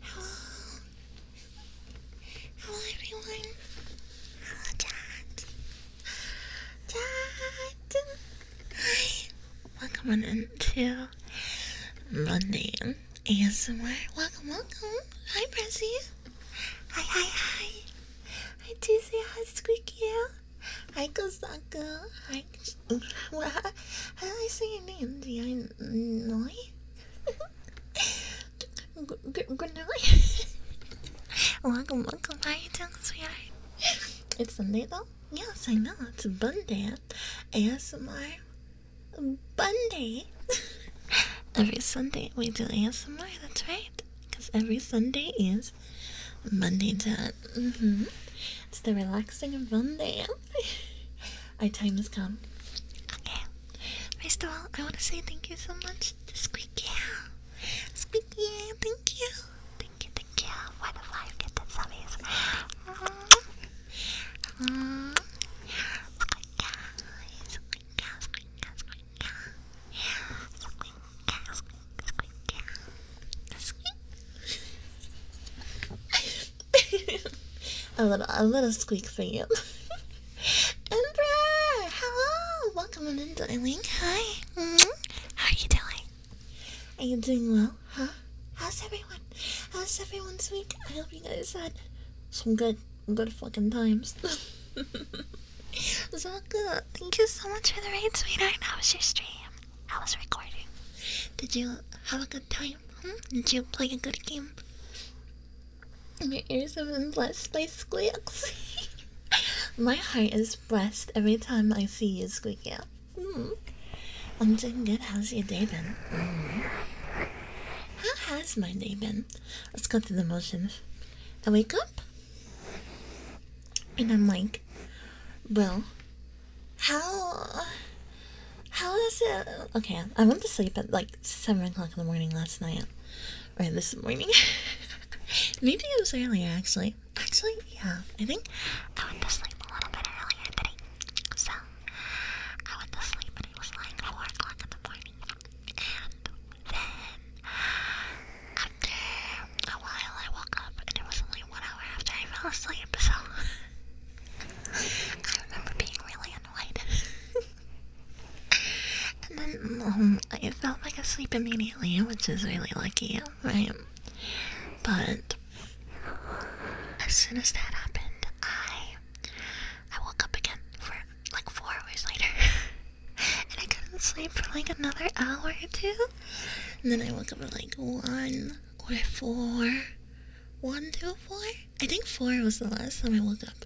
Hello. Hello everyone. Hello chat. Chat. Hi. Welcome on into Monday ASMR. Welcome, welcome. Hi, Prezi. Hi, hi, hi. I Hi, Tuesday. Hi, Squeaky. I go Hi. I. do I say your name? Do you know? good, night. welcome, welcome. How you doing, sweetheart? It's Sunday though? Yes, I know. It's Monday. ASMR Monday. every Sunday we do ASMR, that's right. Because every Sunday is Monday time. Mm -hmm. It's the relaxing of Monday. My time has come. Okay. First of all, I want to say thank you so much to Squeaky. Squeaky, thank you. Thank you, thank you. Why five get the zombies? Um, guys, guys, guys, guys, guys, guys, guys, a little, a little squeak for you. Emperor, hello, welcome in, darling. Hi, mm-hmm. how are you doing? Are you doing well? Huh? How's everyone? How's everyone, week? I hope you guys had some good, good fucking times. it's all good. Thank you so much for the rain, sweetie. How was your stream? I was recording? Did you have a good time? Hmm? Did you play a good game? My ears have been blessed by squeaks. My heart is blessed every time I see you squeak out. Hmm. I'm doing good. How's your day been? Hmm. How has my day been? Let's go through the motions. I wake up and I'm like, well, how how is it? Okay, I went to sleep at like 7 o'clock in the morning last night. or this morning. Maybe it was earlier, actually. Actually, yeah. I think I went to sleep a little bit earlier today. So, I went to sleep and it was like 4 o'clock in the morning. And then, after a while, I woke up and it was only one hour after I fell asleep. So, I remember being really annoyed. and then um, I fell back asleep immediately, which is really lucky, right? But as soon as that happened, I I woke up again for like four hours later, and I couldn't sleep for like another hour or two, and then I woke up at like one or four, one, two, four. I think four was the last time I woke up.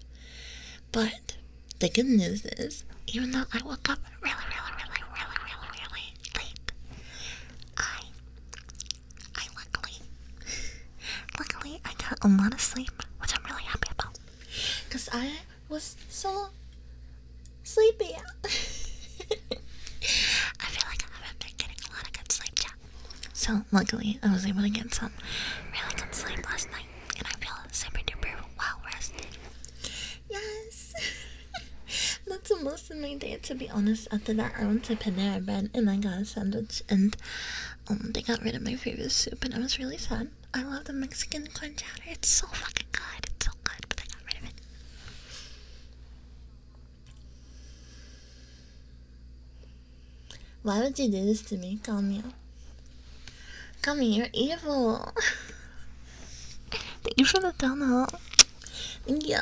But the good news is, even though I woke up really, really, really, really, really, really late, I, I luckily, luckily I got a lot of sleep, which I'm really happy about, because I was so sleepy. I feel like I haven't been getting a lot of good sleep yet. So luckily, I was able to get some really good sleep last night, and I feel super duper well rested. Yes, that's most of my day. To be honest, after that, I went to Panera Bread and I got a sandwich, and um, they got rid of my favorite soup, and I was really sad. I love the Mexican quencher; It's so fucking good. It's so good, but they got rid of it. Why would you do this to me? Calm me Come here, you're evil. Thank you for the donut. Thank you.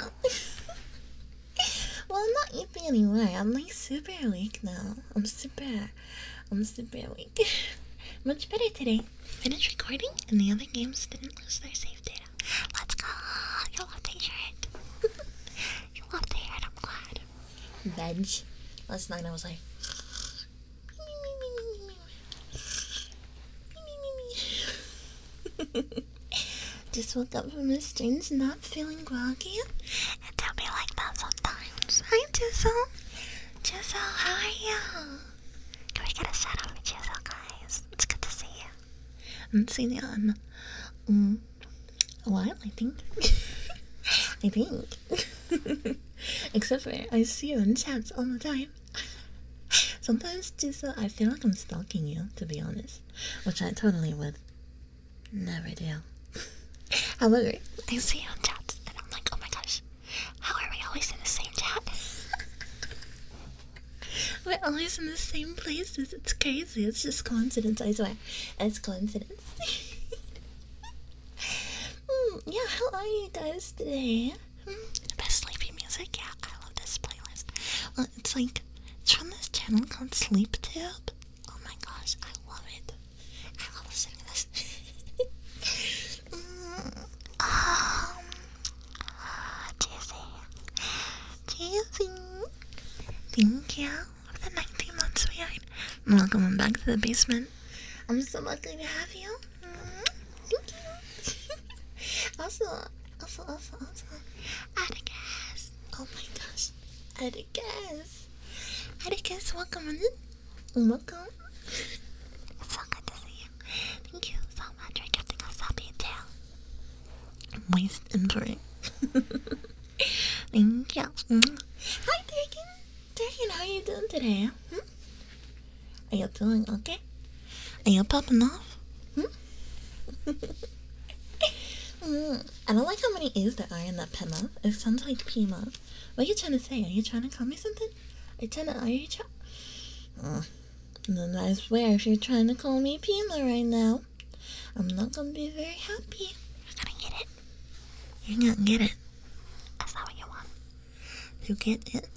well, I'm not evil anyway. I'm like super weak now. I'm super. I'm super weak. Much better today. Finished recording, and the other games didn't lose their save data. Let's go. You love the shirt. you love the shirt. I'm glad veg last night. I was like, just woke up from a strange, not feeling groggy, and they'll be like that sometimes. Hi, Jizzle. Jizzle, how are you? Can we get a shout out for Jizzle, guys? It's good to see you. I'm seeing you um, on. Mm a while, I think. I think. Except for I see you in chats all the time. Sometimes, Jisa, uh, I feel like I'm stalking you, to be honest, which I totally would never do. However, I see you in chats, and I'm like, oh my gosh, how are we always in the same chat? We're always in the same places. It's crazy. It's just coincidence, I swear. It's coincidence. Mm, yeah, how are you guys today? Mm, best sleepy music? Yeah, I love this playlist. it's like, it's from this channel called Sleep Tube. Oh my gosh, I love it. I love listening to this. Mm, um, uh, Jesse. Thank you of the 19 months, sweetheart. And welcome back to the basement. I'm so lucky to have you. Mm -hmm. Thank you. also, also, also, also. Atticus. Oh my gosh. Atticus. Atticus, welcome in. Welcome. It's so good to see you. Thank you so much for giving us up your tail. Waste and break. Thank you. Hi, Dagan. Dagan, how you doing today? Hmm? Are you doing okay? Are you popping off? Hmm? mm, I don't like how many A's there are in that Pema. It sounds like Pima. What are you trying to say? Are you trying to call me something? Are you trying to... Are you trying... Uh, hmm. then I swear, if you're trying to call me Pima right now, I'm not gonna be very happy. You're gonna get it. You're going get it. That's not what you want. You get it.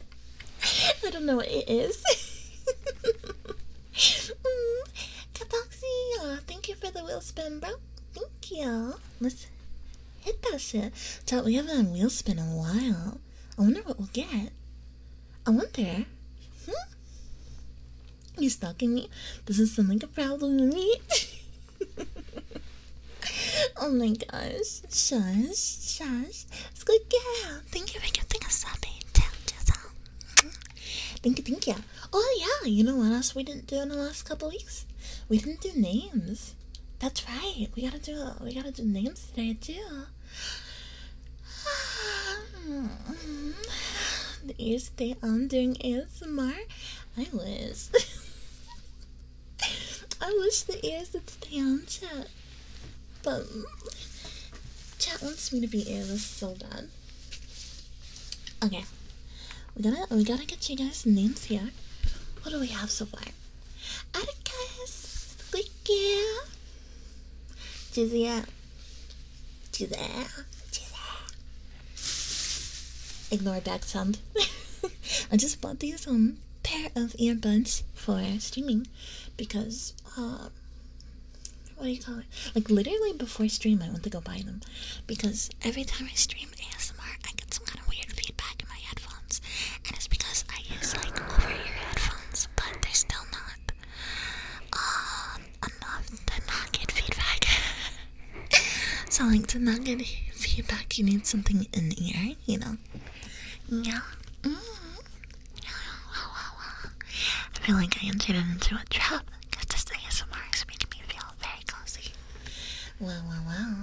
I don't know what it is. mm. Kataxi, uh, thank you for the wheel spin, bro. Thank you. Let's hit that shit. Chat, we haven't done wheel spin in a while. I wonder what we'll get. I wonder. Hmm? You stalking me? Doesn't sound like a problem to me. oh my gosh. Shush, shush. It's good girl. Thank you for giving us a big Thank you, thank you. Oh yeah, you know what else we didn't do in the last couple weeks? We didn't do names. That's right. We gotta do we gotta do names today too. the ears stay on doing is. ASMR. I wish. I wish the ears would stay on chat. But chat wants me to be earless so bad. Okay. We gotta we gotta get you guys names here. What do we have so far? Atticus, Squeaky, Jizia, do that. Ignore back sound. I just bought these um pair of earbuds for streaming because uh what do you call it? Like literally before stream I went to go buy them. Because every time I stream ASMR I get some kind of weird feedback in my headphones. And it's because I use like over ear headphones, but they're still not um unloved and not get feedback. so, to not get feedback, you need something in the air, you know? Yeah. Mm -hmm. I feel like I entered into a trap because this ASMR is making me feel very cozy. Well, well, well.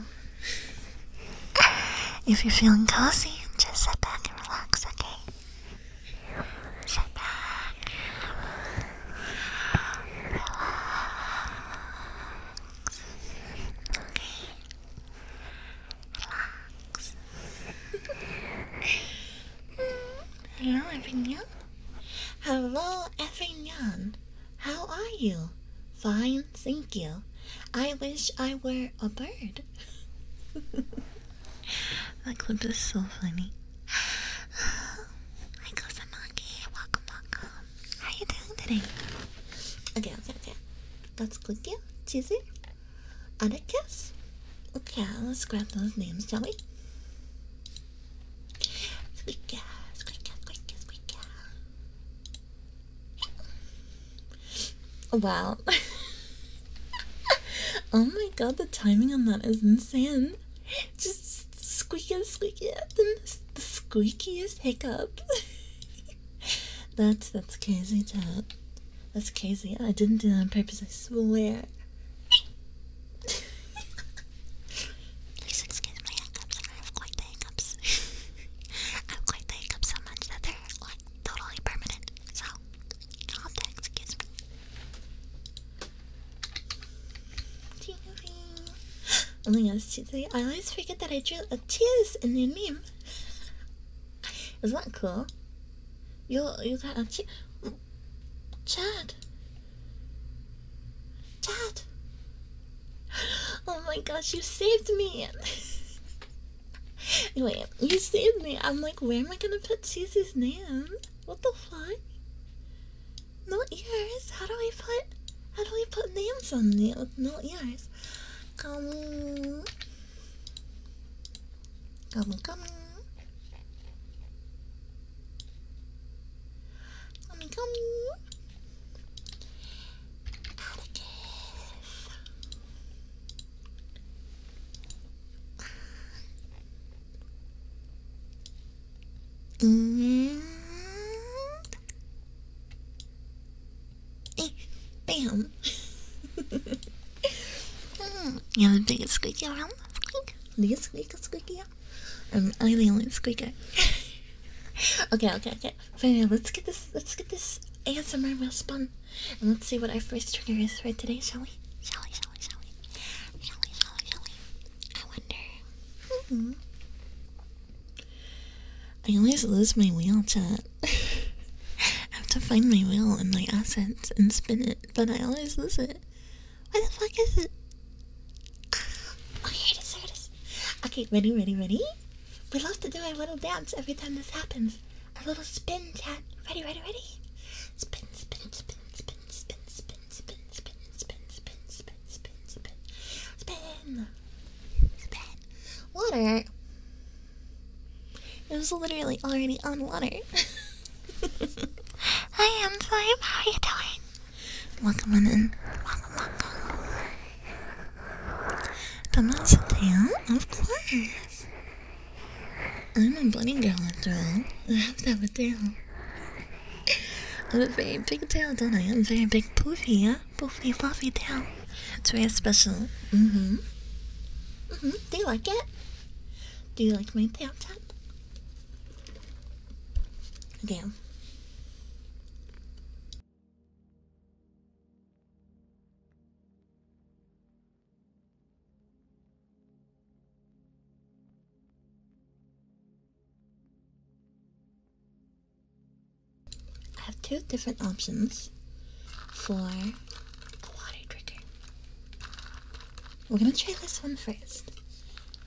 If you're feeling cozy, just sit back and relax, okay? Sit back. Hello, everyone. Hello, everyone. How are you? Fine, thank you. I wish I were a bird. that clip is so funny. Hi Kosamaki, welcome, welcome. How are you doing today? Okay, okay, okay. Let's click you, Cheesy, Atticus. Okay, let's grab those names, shall we? Squeaker, squeaker, squeaker, squeaker. Wow. oh my god, the timing on that is insane. Just squeakiest, squeakiest, the, the squeakiest hiccup. that's that's crazy, chat. That's crazy. I didn't do that on purpose. I swear. Please excuse my hiccups. I have quite the hiccups. I have quite the hiccups so much that they're like totally permanent. So, excuse me. Oh my I always forget that I drew a tears in the meme. Isn't that cool? You you got a che Chad. Chad. Oh my gosh, you saved me. anyway, you saved me. I'm like, where am I gonna put Susie's name? What the fuck? No ears. How do we put? How do we put names on them with no ears? Come, come, come, come, come. Atticus. And bam! you have the biggest squeaky around. Squeak, biggest squeaker, squeaky. Um, I'm the only squeaker. okay, okay, okay. So yeah, let's get this. Let's get this answer. ASMR wheel spun, and let's see what our first trigger is for today, shall we? Shall we? Shall we? Shall we? Shall we? Shall we? Shall we? I wonder. Mm-hmm. I always lose my wheel, chat. I have to find my wheel and my assets and spin it, but I always lose it. Where the fuck is it? Oh, here Okay, ready, ready, ready? We love to do a little dance every time this happens. A little spin, chat. Ready, ready, ready? Spin, spin, spin, spin, spin, spin, spin, spin, spin, spin, spin, spin, spin, spin, spin. Water. It was literally already on water. Hi, Anslime. How are you doing? Welcome on in. Welcome, welcome. Thomas Dale, of course. I'm a bunny girl after all. I have to have a tail. I'm a very big tail, don't I? I'm very big poofy, yeah? Poofy fluffy tail. It's very special. hmm hmm Do you like it? Do you like my tail tap? Damn. I have two different options for a water trigger. We're gonna try this one first,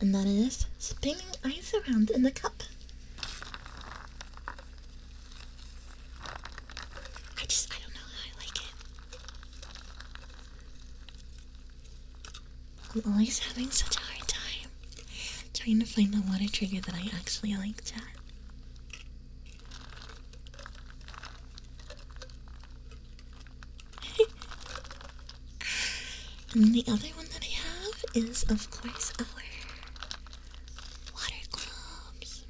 and that is spinning ice around in the cup. I just, I don't know how I like it. I'm always having such a hard time trying to find the water trigger that I actually like to. and the other one that I have is, of course, our water globes.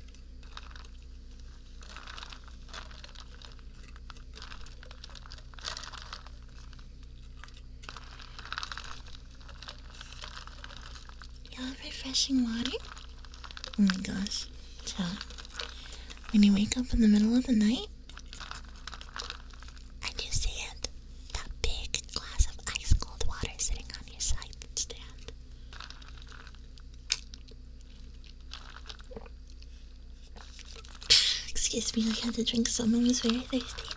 You love refreshing water? Oh my gosh, chill. When you wake up in the middle of the night, and you see that big glass of ice cold water sitting on your side stand. Excuse me, I had to drink some. I was very thirsty.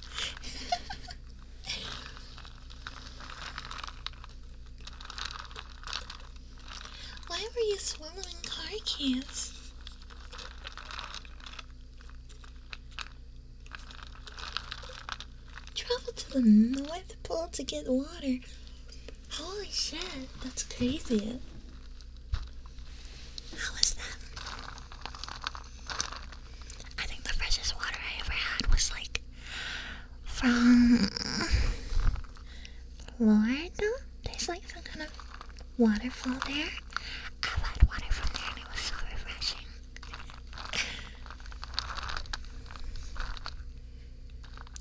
Why were you swallowing car keys? Travel to the North Pole to get water. Holy shit, that's crazy. How is that? I think the freshest water I ever had was like from Florida. There's like some kind of waterfall there. I've water from there it was so refreshing.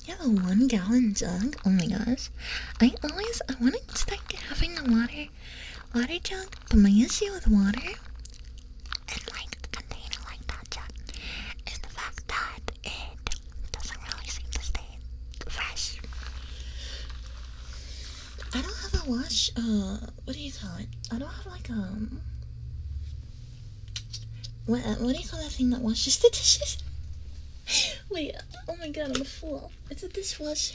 You a one gallon jug? Oh my gosh. I always I wanted to start having the water water jug, but my issue with water and like the container like that, is jug is the fact that it doesn't really seem to stay fresh. I don't have a wash uh what do you call it? I don't have like um what uh, what do you call that thing that washes the dishes? Wait, oh my god, I'm a fool. It's a dishwasher.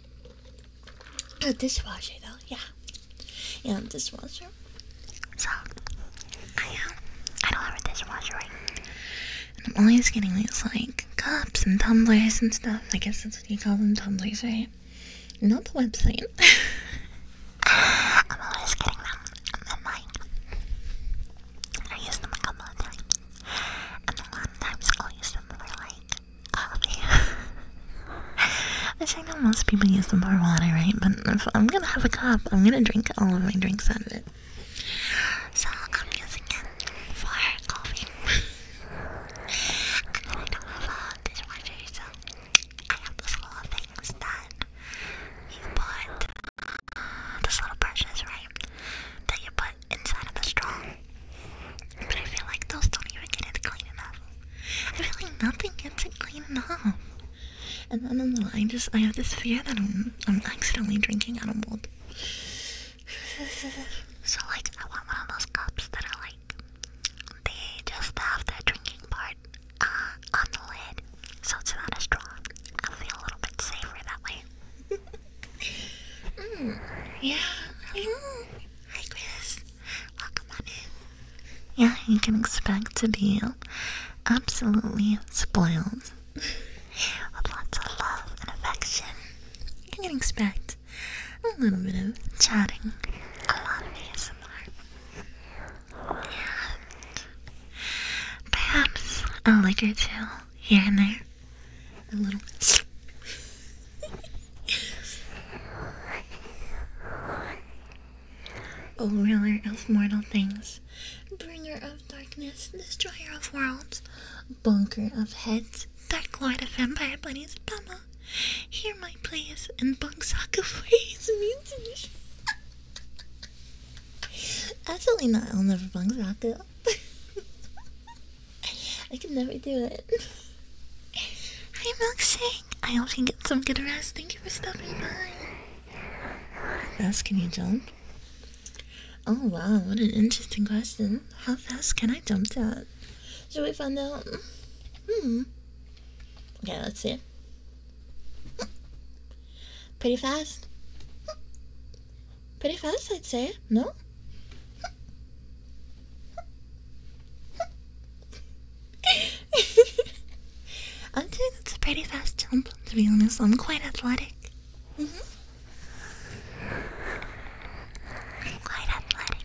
a oh, dishwasher though, yeah, yeah, dishwasher. So I um, I don't have a dishwasher, right? And I'm always getting these like cups and tumblers and stuff. I guess that's what you call them, tumblers, right? Not the website. I'm always getting them, and then like I use them a couple and a lot of times i use them for like coffee. I know most people use the bar water, right? But if I'm gonna have a cup, I'm gonna drink all of my drinks out of it. So I'm using it for coffee. I don't have a dishwasher, so I have this little things that you put, this little brushes, right? That you put inside of the straw. But I feel like those don't even get it clean enough. I feel like nothing gets it clean enough. And then, and then I just I have this fear that I'm I'm accidentally drinking out of mold. so like I want one of those cups that are like they just have the drinking part uh, on the lid, so it's not a straw. I feel a little bit safer that way. Mm, yeah, Hi, Chris. Welcome on in. Yeah, you can expect to be absolutely spoiled with lots of love and affection. You can expect a little bit of chatting, a lot of ASMR. Yeah. Perhaps a lick or two here and there a little bit. Oh, ruler of mortal things, bringer of darkness, destroyer of worlds, bunker of heads, dark lord of vampire bunnies, Bama, hear my pleas and Bungsaku praise me. Absolutely not, I'll never Bungsaku. I can never do it. Hi, Milkshake. I hope you get some good rest. Thank you for stopping by. Fast can you jump? Oh wow, what an interesting question. How fast can I jump that? Should we find out? Hmm. Okay, let's see. Pretty fast. Pretty fast, I'd say. No? I'm okay, It's a pretty fast jump, to be honest. I'm quite athletic. Mm -hmm. I'm quite athletic.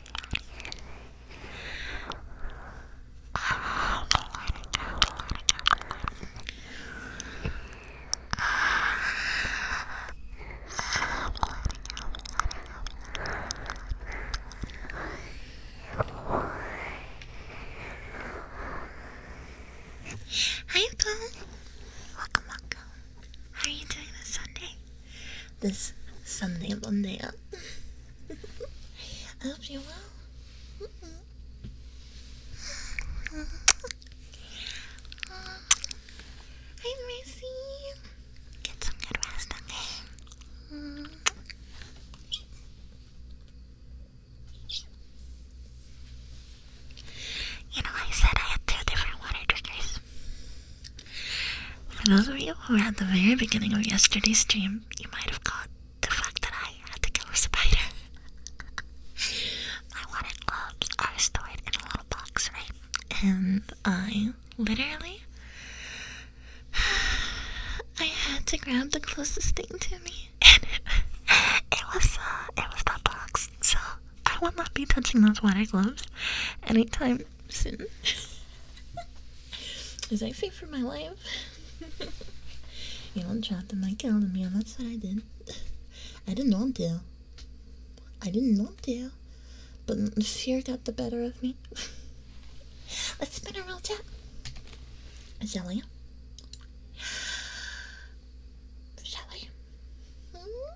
Hi, Paul. Welcome, welcome. How are you doing this Sunday? this Sunday, Monday. I hope you will. Hi, Mercy. Get some good rest, okay? You know, I said I had two different water triggers. For those of you who were at the very beginning of yesterday's stream, you might have caught the fact that I had to kill a spider. My water gloves are stored in a little box, right? And I literally. I had to grab the closest thing to me, and it, it was a uh, it was that box. So I will not be touching those water gloves anytime soon. As I fear for my life. you Elon dropped the mic on me, and that's what I did. I didn't want to. I didn't want to. But fear got the better of me. Let's spin a real chat. Shall we? Hmm?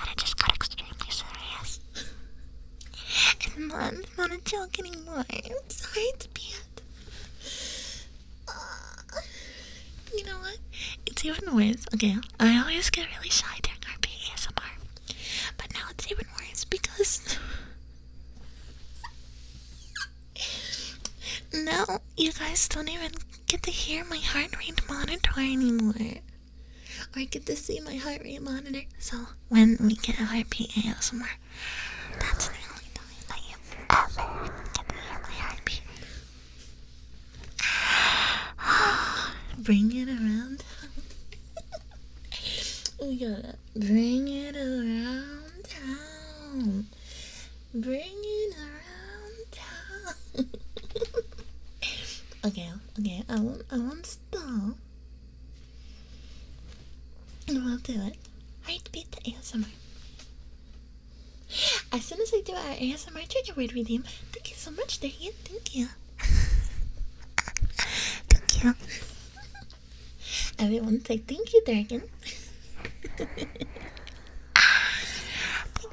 And just got extremely serious. and not, not a joke anymore. It's am sorry to be it. you know what? It's even worse. Okay, I always get really shy during our ASMR. But now it's even worse because. now you guys don't even get to hear my heart rate monitor anymore. I get to see my heart rate monitor. So when we get a heartbeat ASMR, that's the only thing I ever get to hear my Bring it around. we gotta bring it around town. Bring it around town. okay, okay, I won't, I won't stop. And we'll do it. I'd the answer. As soon as I do our ASMR trigger word him. thank you so much, Darian. Thank you. thank you. Everyone say thank you, Darian.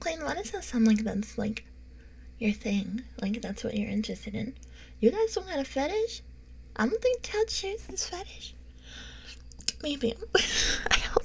Clayton, why does that sound like that's like your thing? Like that's what you're interested in? You guys don't have a fetish? I don't think Ted shares this fetish. Maybe. I hope.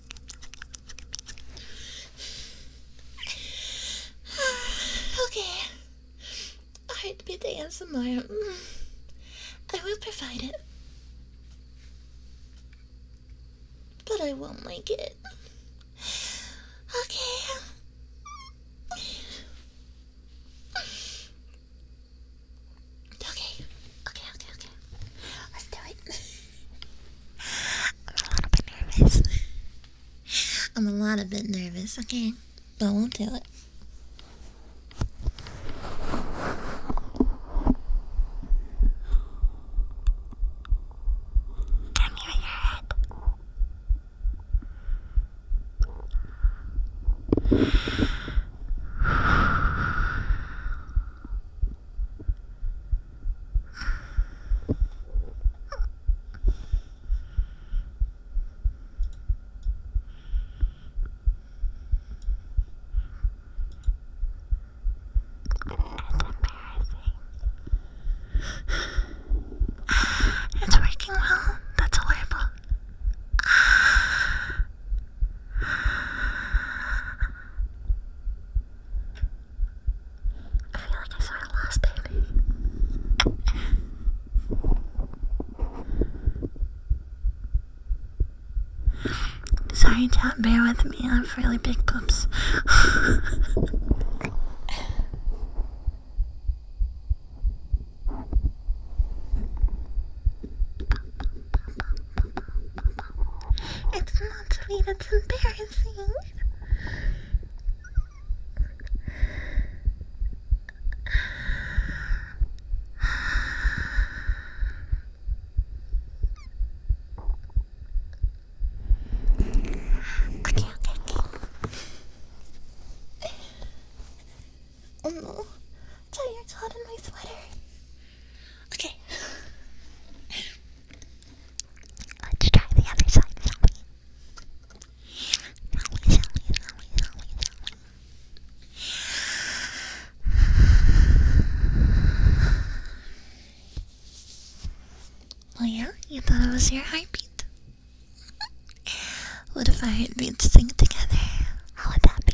okay. I'd be Heartbeat ASMR. Mm. I will provide it. But I won't like it. Okay. Okay, okay, okay, okay. Let's do it. I'm a little bit nervous. I'm a lot a bit nervous, okay? But I won't do it. Can you hear it? It's working well. That's a label. I feel like I sort of lost it. Sorry, chat, bear with me. I have really big poops. It's not sweet, it's embarrassing. Okay, okay, okay. oh no, tire's hot in my sweater. Okay. Let's try the other side, Well, you thought it was your heartbeat. what if our heartbeats sync together? How would that be?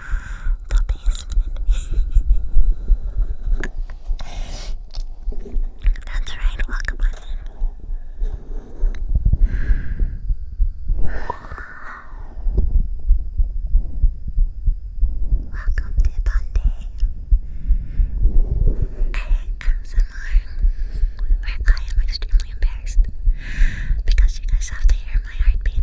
the basement. That's right, welcome Welcome to Bondi. ASMR, where I am extremely embarrassed because you guys have to hear my heartbeat.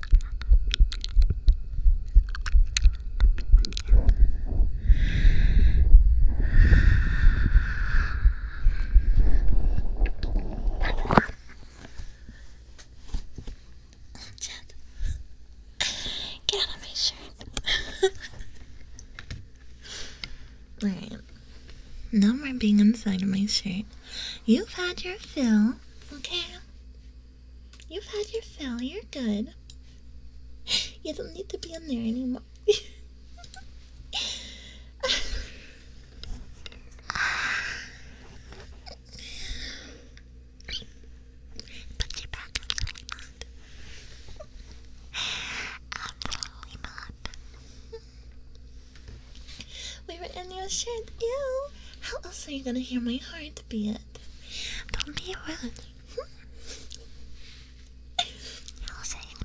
Chad, get out of my shirt. Alright, no more being inside of my shirt. You've had your fill, okay? You've had your fill, you're good. You don't need to be in there anymore. Put you back, I'm really not. We were in your shirt, ew. How else are you gonna hear my heart beat? Don't be rude. I'll say here.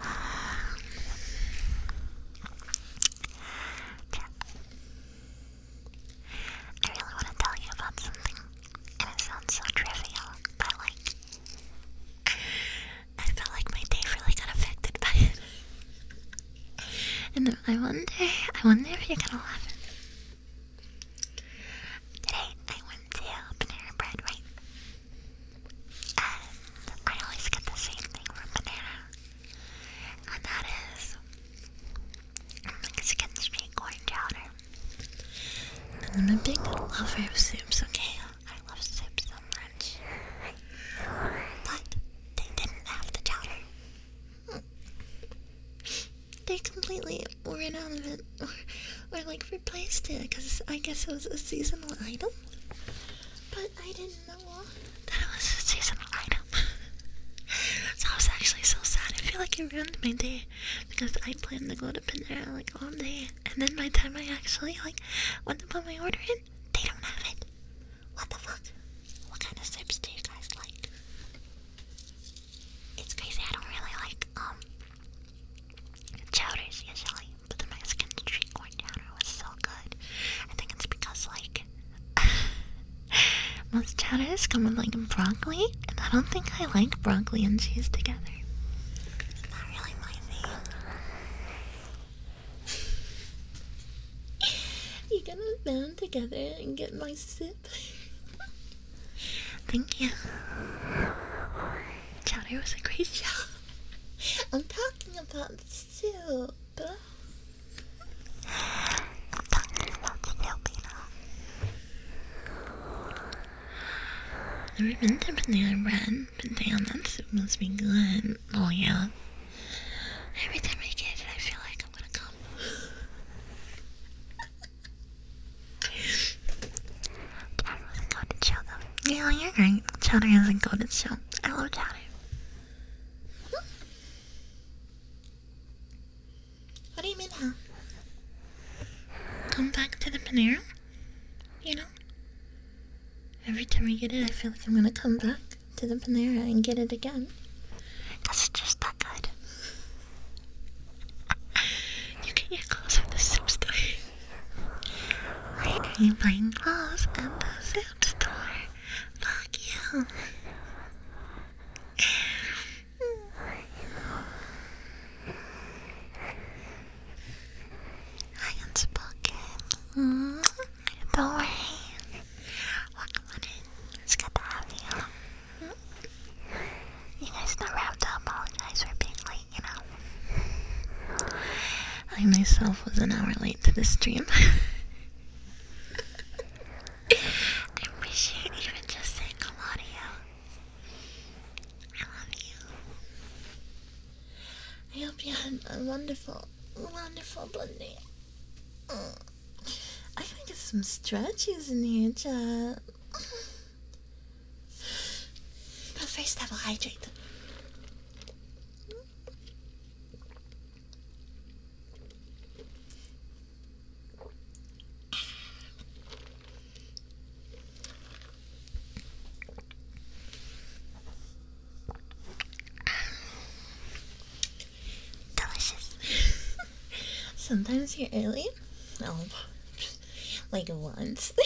I really want to tell you about something, and it sounds so trivial, but like, I felt like my day really got affected by it. And I wonder, I wonder if you're gonna love it. Today I went to Panera Bread, right? And I always get the same thing from Panera. And that is Mexican street corn chowder. And I'm a big lover of soups, okay? I love soup so much. But they didn't have the chowder. They completely ran out of it, or, or like replaced it, because I guess it was a seasonal item. But I didn't know that it was a seasonal item. so I was actually so sad. I feel like it ruined my day because I planned to go to Panera like all day and then by the time I actually like went to put my order in, they don't have it. What the fuck? What kind of sips do you guys like? It's crazy. I don't really like um, chowders usually, but the Mexican street corn chowder was so good. I think it's because like most chowders come with like broccoli, and I don't think I like broccoli and cheese together. not really my thing you are gonna band together and get my sip? Thank you. Chowder was a great job. I'm talking about the soup. I'm talking about the soup, you know. Never been to Damn, that soup must be good. Oh, yeah. Every time I get it, I feel like I'm gonna come. Chowder was a goated show, though. Yeah, you're right. Chowder is a goated show. I love chowder. What do you mean, huh? Come back to the Panera? You know Every time I get it, I feel like I'm gonna come back to the Panera and get it again. Cause it's just that good. you can get clothes at the soup store. Why are you buying clothes the soup store? Fuck you. I am spoken. Mm -hmm. Don't worry. Welcome on in. It's good to have you. Mm -hmm. You guys know I have to apologize for being late, you know. I myself was an hour late to the stream. I appreciate even just saying hello to you. I love you. I hope you had a wonderful, wonderful Monday. Oh, I can get some stretches in here, chat. But first, I will hydrate. Delicious. Sometimes you're alien. No, like once. oh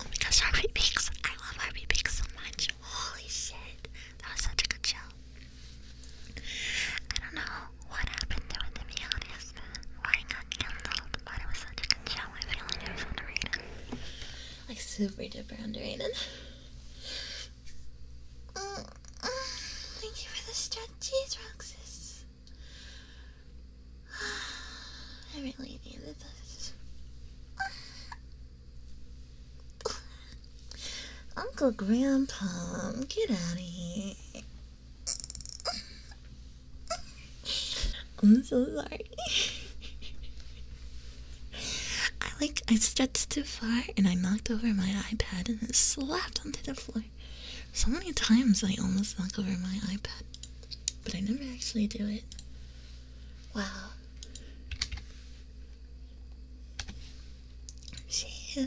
my Harvey Bakes. I love Harvey Bakes so much. Holy shit. That was such a good show. I don't know what happened to it, to be honest was lying but it was such a good show. I feel like it was underrated. Like super duper underrated. Mm, mm, thank you for the stretchies, Roxas. I really needed this. Uncle Grandpa, get out of here. I'm so sorry. I like I stretched too far and I knocked over my iPad and it slapped onto the floor. So many times I almost knocked over my iPad, but I never actually do it. Wow. She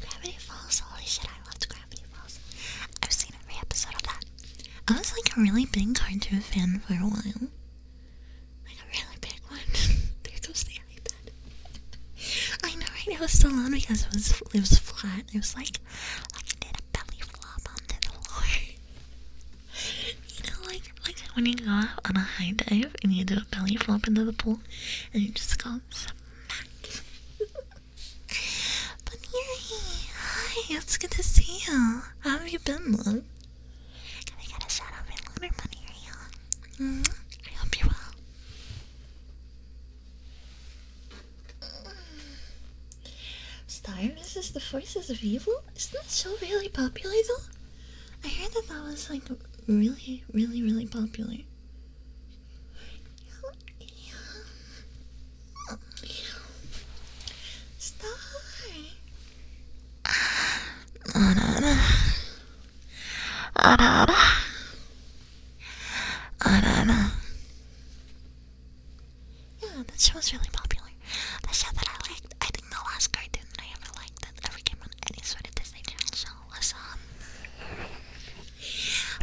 Gravity Falls. Holy shit! I loved Gravity Falls. I've seen every episode of that. I was like a really big cartoon fan for a while. Like a really big one. There those things like that. I know, right? It was so loud because it was it was flat. It was like like I did a belly flop onto the floor. you know, like like when you go off on a high dive and you do a belly flop into the pool and you just go smack. Bunny, hi, it's good to see you. How have you been, love? Can we get shout out for Lunar Bunny? Mm-hmm. I hope you're well. Star misses the forces of evil? Isn't that show really popular though? I heard that that was like really, really, really popular. Stop. Yeah, that show was really popular. The show that I liked, I think the last cartoon that I ever liked that ever came on any sort of Disney Channel show was um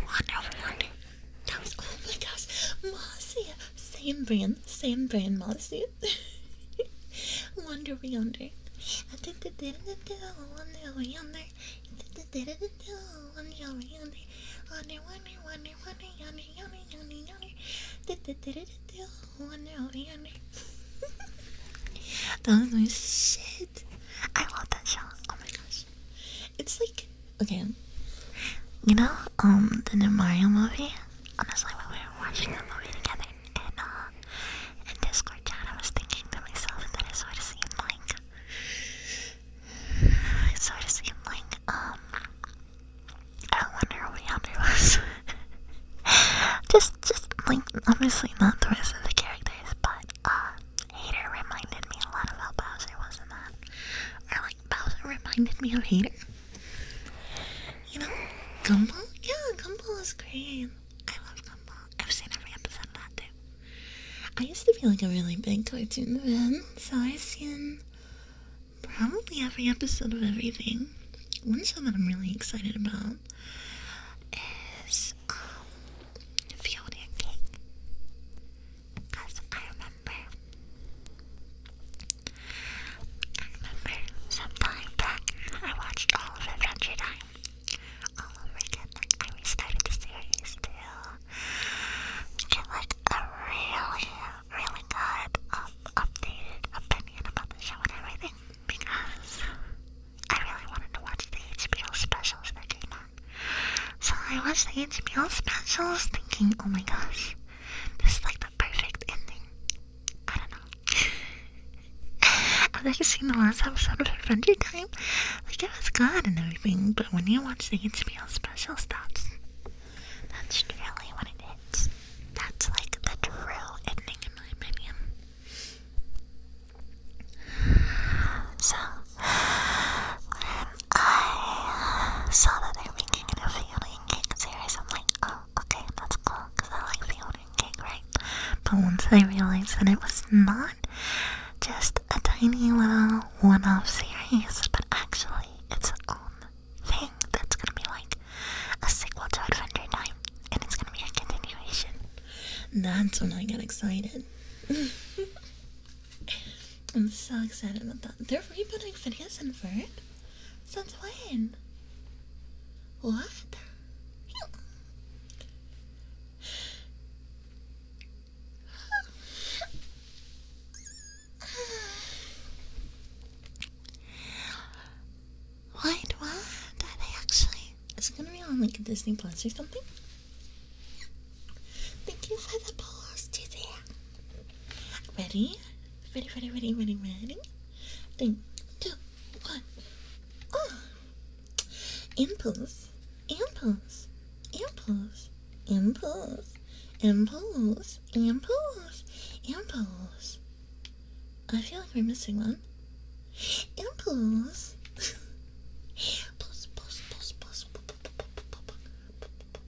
Wonder Wonder. That was oh my gosh, Mossy, same brand, same brand, Mossy. Wander yonder. that was my shit. I love that song. Oh my gosh. It's like okay, you know, um, the new Mario movie. Honestly, when we were watching the movie together and uh, in Discord chat, I was thinking to myself that it sort of seemed like it sort of seemed like um, I wonder what Yami was. just, just like obviously not the rest of the characters, but uh, Hater reminded me a lot about Bowser, wasn't that? Or like Bowser reminded me of Hater. You know, Gumball? Yeah, Gumball is great. I love Gumball. I've seen every episode of that too. I used to be like a really big cartoon Man, so I've seen probably every episode of everything. One show that I'm really excited about is um, Fiona because I remember, I remember sometime back, I watched all of Adventure Time all over again. I restarted the series to get like a really, really good, um, updated opinion about the show and everything because I really wanted to watch the HBO specials that came so I watched the HBO specials thinking, oh my gosh, this is like the perfect ending. I don't know. I've actually seen the last episode of Adventure Time. Like it was good and everything, but when you watch the HBO specials, that's that's really what it is. That's like the true ending in my opinion. So I saw that they were making it a Fiona and Cake series, I'm like, oh, okay, that's cool, because I like Fiona and Cake, right? But once I realized that it was not just a tiny little one-off series, but actually its own thing that's gonna be like a sequel to Adventure Time, and it's gonna be a continuation. That's when I got excited. I'm so excited about that. They're rebooting Phineas and Ferb? Since when? What? Why? what? Are they actually? Is it gonna be on like a Disney Plus or something? Thank you for the balls today. Ready? Ready, ready, ready, ready, ready? Three, two, one. Oh. Impulse, impulse, impulse, impulse, impulse, impulse, impulse. I feel like we're missing one. Impulse. Pulse, pulse, pulse, pulse.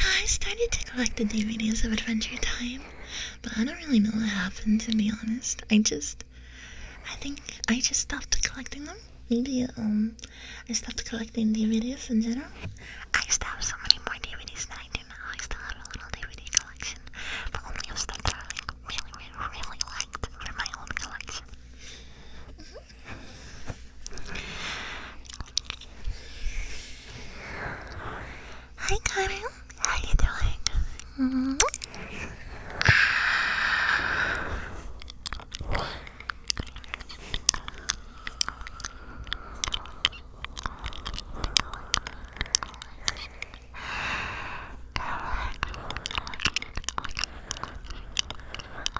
I started to collect the DVDs of Adventure Time, but I don't really know what happened to be honest. I just, I think I just stopped collecting them. Maybe um, I stopped collecting DVDs in general. I used to have so many more DVDs than I do now. I still have a little DVD collection, but only of stuff that I really, really, really liked for my own collection. Mm-hmm. Hi, Connor. How you doing? Mm-hmm.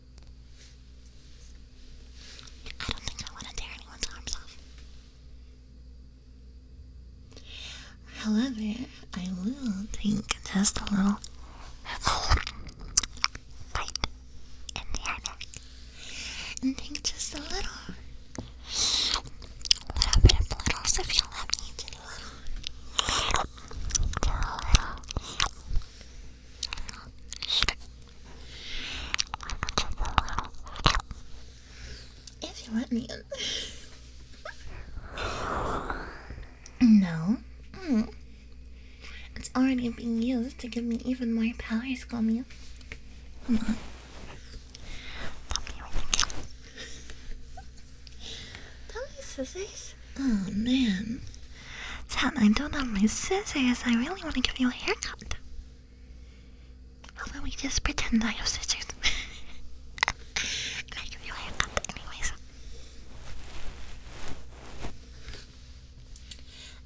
I don't think I want to tear anyone's arms off. However, I will take just a little bite in the iMac and take just a little little bit of littles if you me do a little do a little if you want me in. no. Mm. It's already being used to give me even more powers, Gummy. Come on. Tell me, scissors. Oh man. Jen, I don't have my scissors. I really want to give you a haircut. How about we just pretend I have scissors? and I give you a haircut anyways.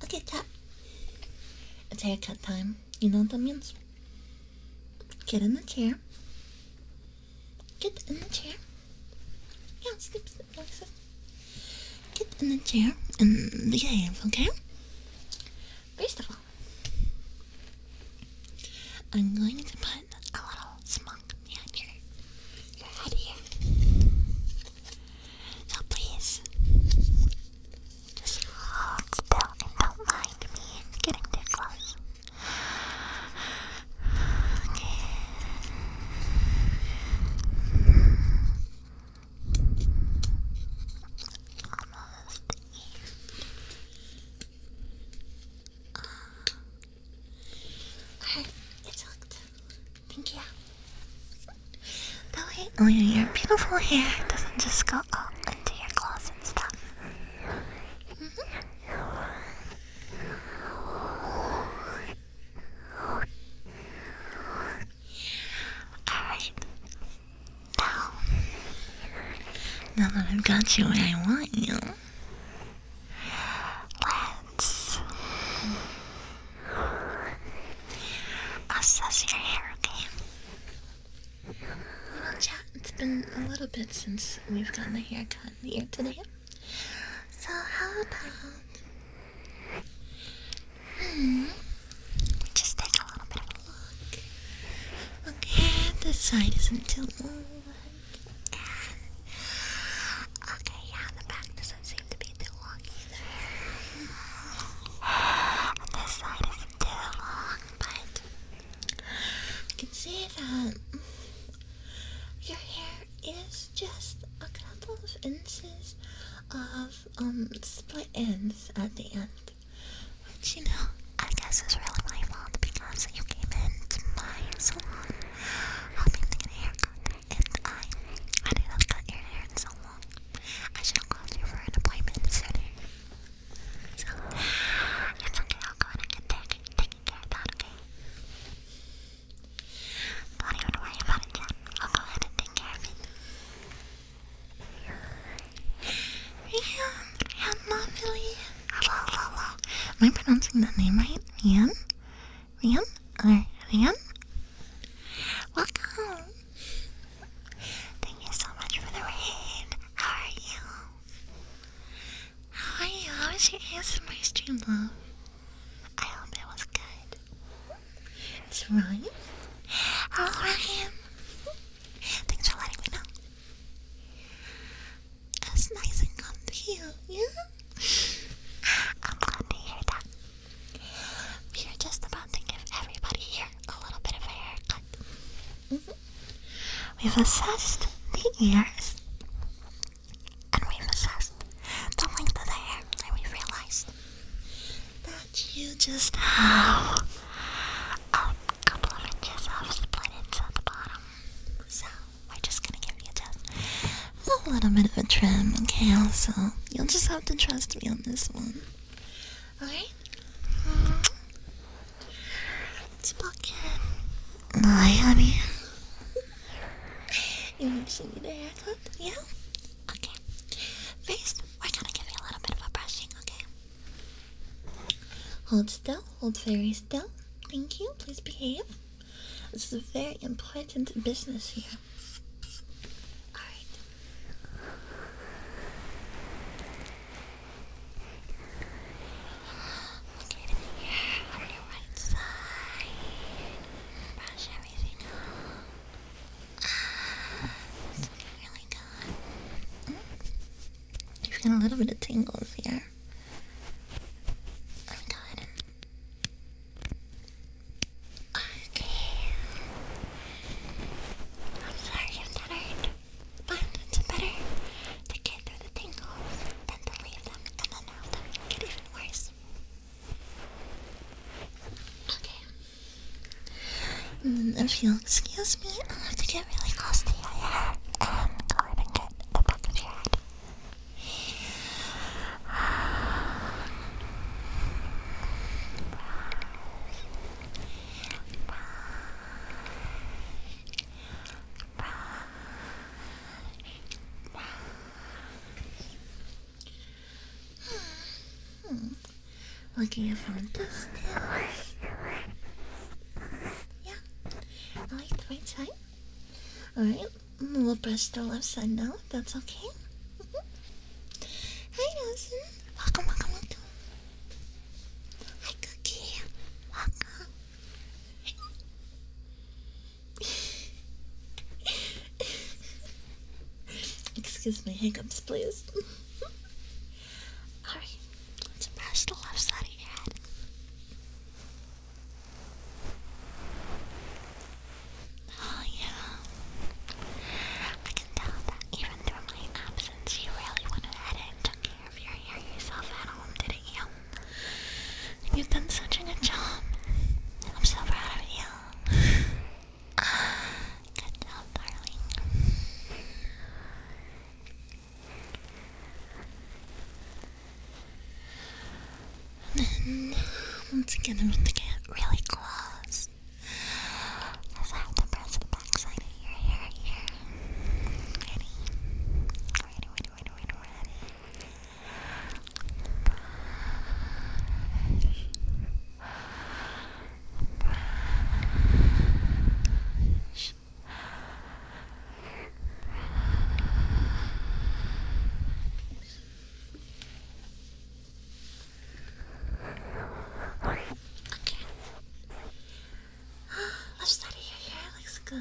Okay, Jen. It's haircut time. You know what that means? Get in the chair. Get in the chair. Yeah, sleep, Get in the chair and behave, okay? First of all, I'm going to put a little smoke behind your, here. So please, just hold still and don't mind me getting too close. Okay. Almost it's hooked. Thank you. That way, oh, your beautiful hair doesn't just go all into your claws and stuff. Mm-hmm. Alright. Now, that I've got you where I want you, let's assess your hair, okay? Well, chat, it's been a little bit since we've gotten a haircut here today. So, how about Hmm. Just take a little bit of a look. Okay, this side isn't too long. Okay, yeah, the back doesn't seem to be too long either. And this side isn't too long, but I can see that your hair is just a couple of inches of um split ends at the end, which you know I guess is really my fault because you came into my salon hoping to get a haircut, and I I didn't cut your hair in long. I should have called you for an appointment sooner. So it's okay. I'll go and get taken taken care of that. Okay. Don't even worry about it I'll go ahead and take care of it. Ian Lovely. Am I pronouncing that name right? Ian? Ian? Or Ian? Welcome. Thank you so much for the raid. How are you? How are you? How was your ASMR stream, love? I hope it was good. It's Ryan. Hello, Thanks for letting me know. It's nice and comfy, yeah? I'm glad to hear that. We are just about to give everybody here a little bit of a haircut. Mm-hmm. We've assessed the ears, and we've assessed the length of the hair, and we realized that you just have a couple inches of the bottom. So we're just gonna give you a little bit of a trim, okay? So you'll just have to trust me on this one. Alright? It's pocket. Hi, honey. you want to see me haircut? Yeah? Okay. First, we're gonna give you a little bit of a brushing, okay? Hold still, hold very still. Thank you, please behave. This is a very important business here. Alright. Look right in here on your right side. Brush everything out. It's really good. Oh. You've got a little bit of tingles here. Let me go Okay. I'm sorry if that hurt, but it's better to get through the tingles than to leave them and then have them get even worse. Okay. Um, if you'll excuse me, I'll have to get really close to your hair and go ahead and get the back of your head. Hmm. Looking for this like the right side. Alright, we'll brush the left side now, that's okay. Hi, mm-hmm. Nelson. welcome, welcome. Hi, Cookie. Welcome. Excuse me, hiccups, please. Alright, let's brush the left side Oh, yeah. I can tell that even through my absence, you really went ahead and took care of your hair yourself at home, didn't you? You've done such a good I'm so proud of you. Good job, darling. then, once again, I'm going to get really close. Because I have to press back Ready? Ready, ready, ready, ready, ready brush, Okay. I'll study your hair. looks good.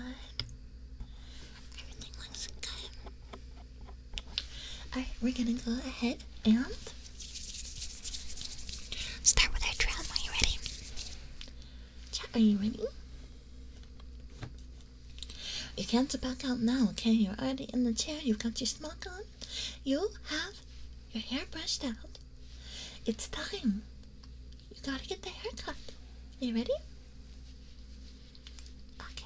Everything looks good. Alright, we're gonna go ahead and start with our round. Are you ready? Chat, are you ready? You can't back out now, okay? You're already in the chair, you've got your smock on, you have your hair brushed out. It's time. You gotta get the haircut. Are you ready? Okay.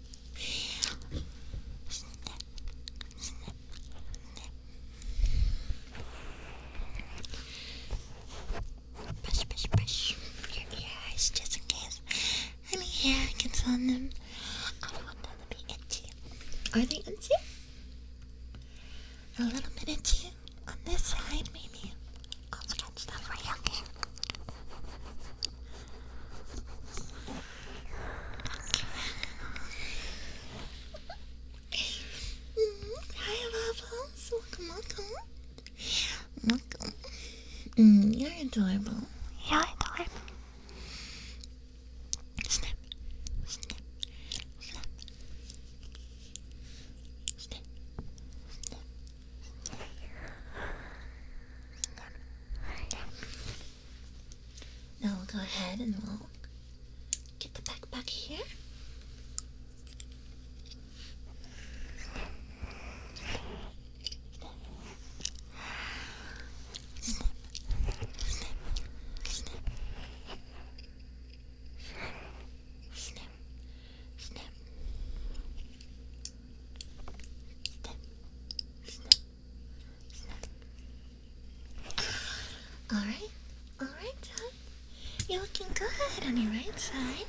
snip, snip, Brush, brush, brush your ear just in case any hair gets on them. I don't want them to Are they itchy? A little bit itchy on this side, maybe. I'll scratch that for you, okay? Hi, Waffles. Welcome, welcome. Welcome. Mm, you're adorable. You're adorable. Now we'll go ahead and we'll get the backpack here. Alright, alright, You're looking good on your right side.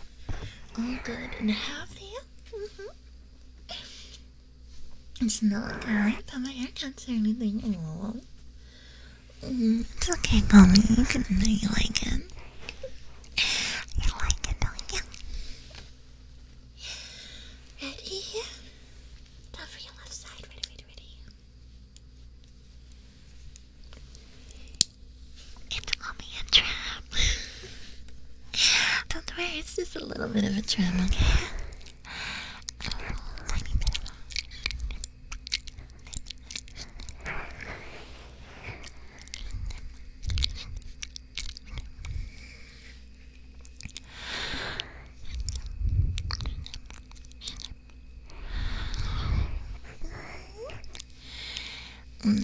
All good and happy. Mm -hmm. It's not good that my haircuts or anything. Oh. Mm, it's okay, Mommy. You can do you like it. You like it, don't you? Ready? Now for your left side. Ready, ready, ready. It's only a tram. Don't worry, it's just a little bit of a tram,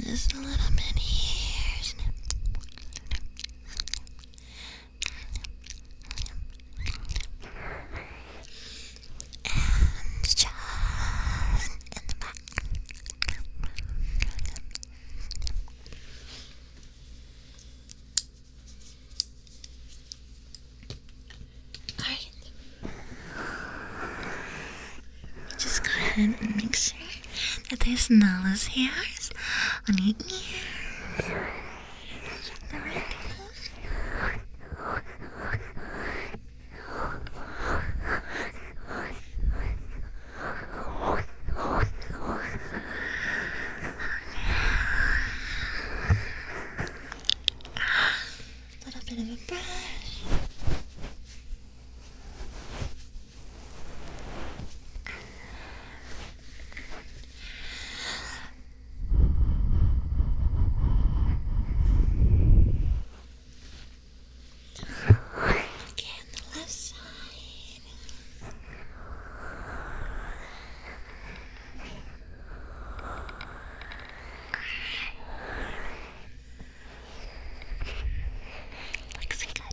just a little bit here. Snip. And just in the back. Alright. Just go ahead and make sure that there's no loose hairs on your ears. A little bit of a brush. Okay, on the left side. Looks good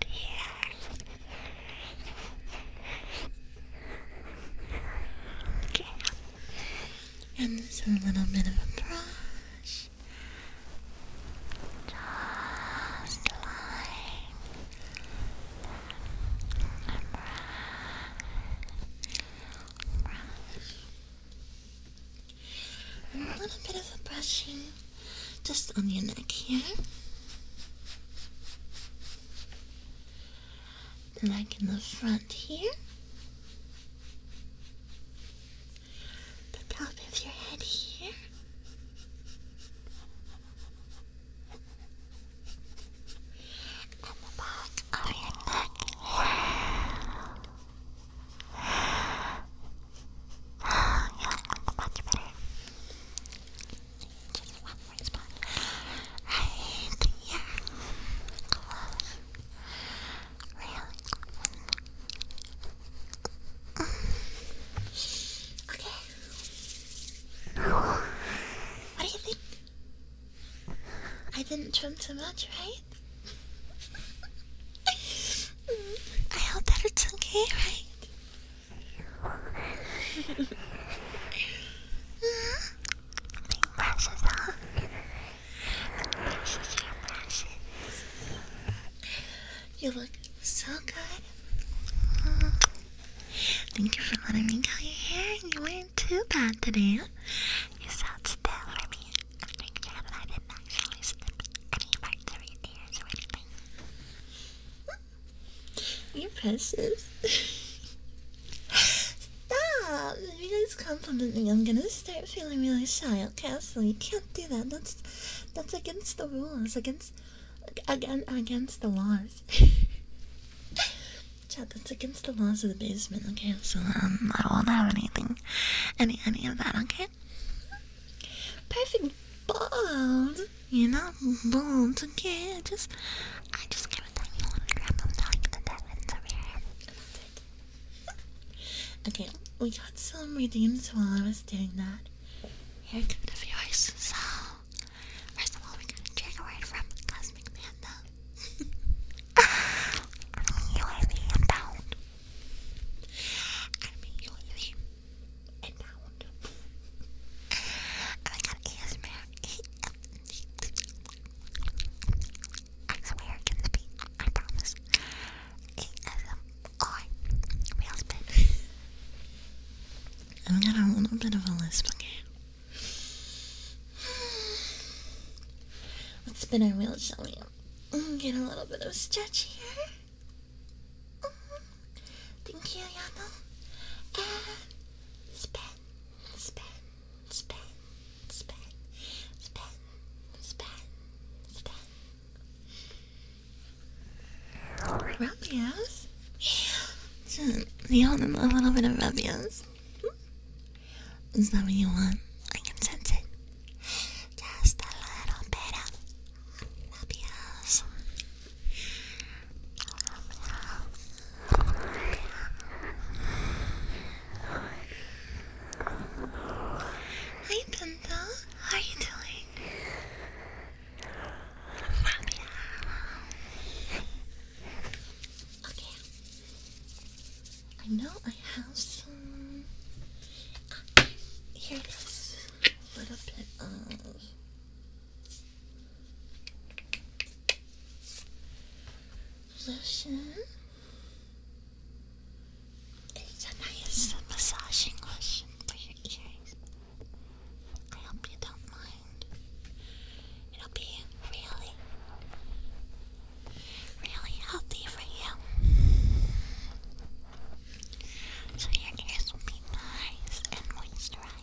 here. Okay. And this is a little bit of a brush. Just a line a little bit of a brushing just on your neck here. Like in the front here. The top of your head here and the back of your neck. Oh, yeah, that's much better. Just one more spot. Right, yeah. really? Okay. What do you think? I didn't trim too much, right? I hope that it's okay, right? Bring brushes on. Brushes, your brushes. You look so good. Thank you for letting me cut your hair. You weren't too bad today. You sat still for me. i didn't actually snip any parts of your ears or anything. You're precious. Stop! If you guys compliment me, I'm gonna start feeling really shy, okay? So you can't do that. That's that's against the rules, against again against the laws. Chad, that's against the laws of the basement. Okay, so um, I won't have anything, any any of that. Okay. Perfect bald. You're not bald. Okay, just, I just can't tell you want to grab them talking the diamonds over your okay, we got some redeems while I was doing that. Here come the viewers. So first of all, we're gonna trigger word from Cosmic Panda. really about. I mean, really about. And I got ASMR. I swear it can I promise. ASMR. Real i got a little bit of a lisp, okay? Let's spin our wheel, shall we? Get a little bit of stretch here. Mm-hmm. Thank you, Yano. And spin, spin, spin, spin, spin, spin, spin. Rubius? Yeah. a little bit of rubius. Is that what you want? I can sense it. Just a little bit of rubius. Hi, Pinta. How are you doing? Okay. I know I have some. Uh, here it is. A little bit of. Lotion. It's a nice massaging lotion for I hope you don't mind. It'll be really, really healthy for you. So your ears will be nice and moisturized,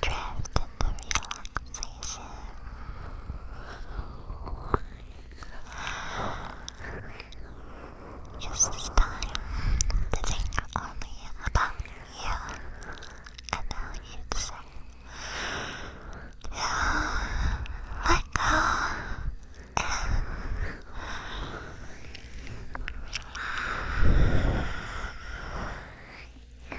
drift into relaxation. Use this time to think only about you and how you'd say, yeah, let go Hi,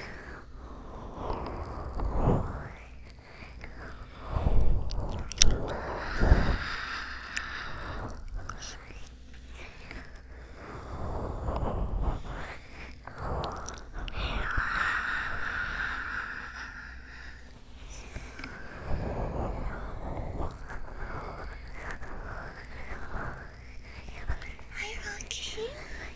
Rocky.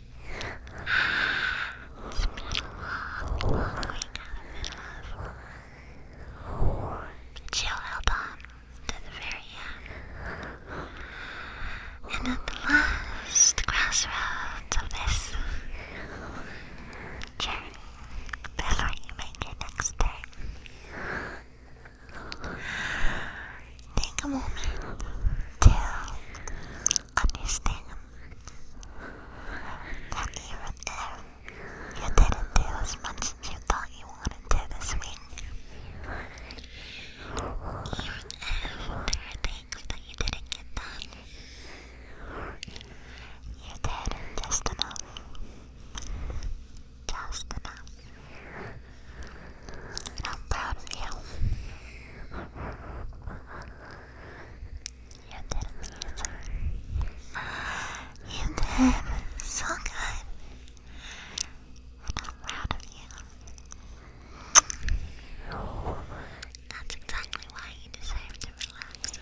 But she on to the very end. And at the last crossroads of this journey, before you make your next turn, take a moment to understand you didn't do as much as you thought you wanted to this week, even things that you didn't get done, you did just enough. Just enough. I'm proud of you. You did amazing. You did so good. I'm proud of you. That's exactly why you deserve to relax.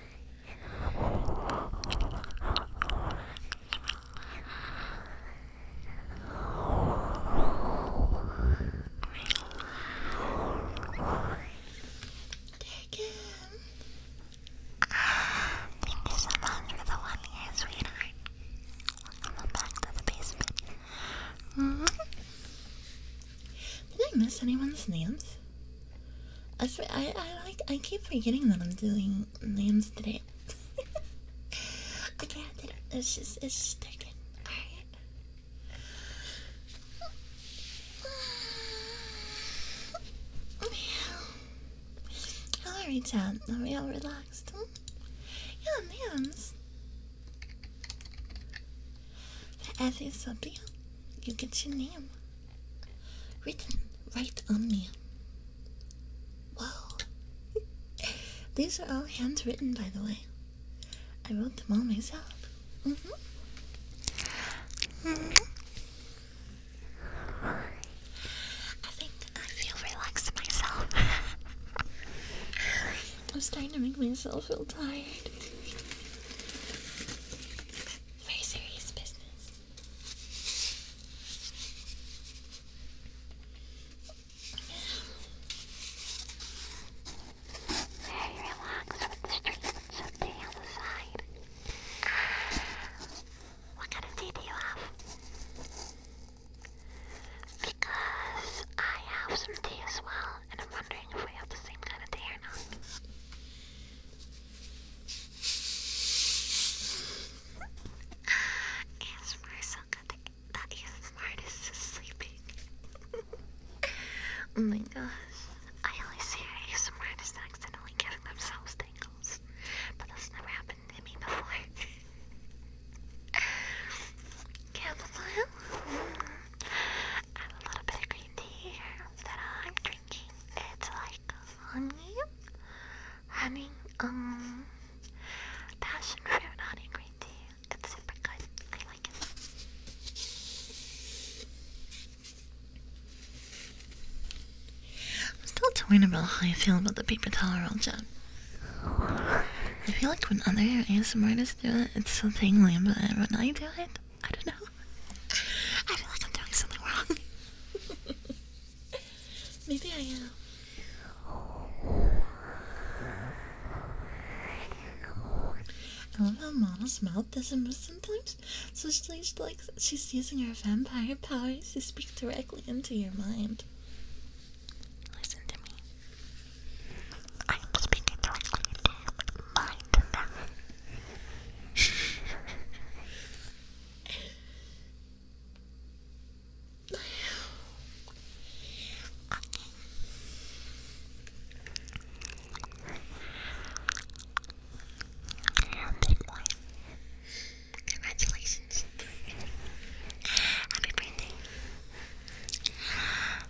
Take him. Ah, thank you so much for the one year, back to the basement. Mm-hmm. Did I miss anyone's names? I, I like I keep forgetting that I'm doing um names today. I can't do it. It's just it's sticking. Alright. How are you, Chad? Are we all relaxed? Yeah, names. The F You get your name written right on me. Wow. These are all handwritten, by the way. I wrote them all myself. -hmm. I think I feel relaxed myself. I'm starting to make myself feel tired. Very serious business. Very relaxed with the streets of the side. What kind of tea do you have? Because I have some tea as well, and I'm wondering if we have the same kind of tea or not. It's more sleeping. oh my gosh. I always see your accidentally giving themselves tingles. But that's never happened to me before. Chamomile? Add a little bit of green tea that I'm drinking. It's like honey honey, um, passion fruit honey green tea. It's super good. I like it. I'm still torn about how I feel about the paper towel roll job. I feel like when other ASMR artists do it, it's so tingly, but when I do it, I don't know. I feel like I'm doing something wrong. Maybe I am. I love how mouth doesn't move sometimes. So she's like she's using her vampire powers to speak directly into your mind. Listen to me. I'm speaking directly into your mind now. Congratulations. Happy birthday.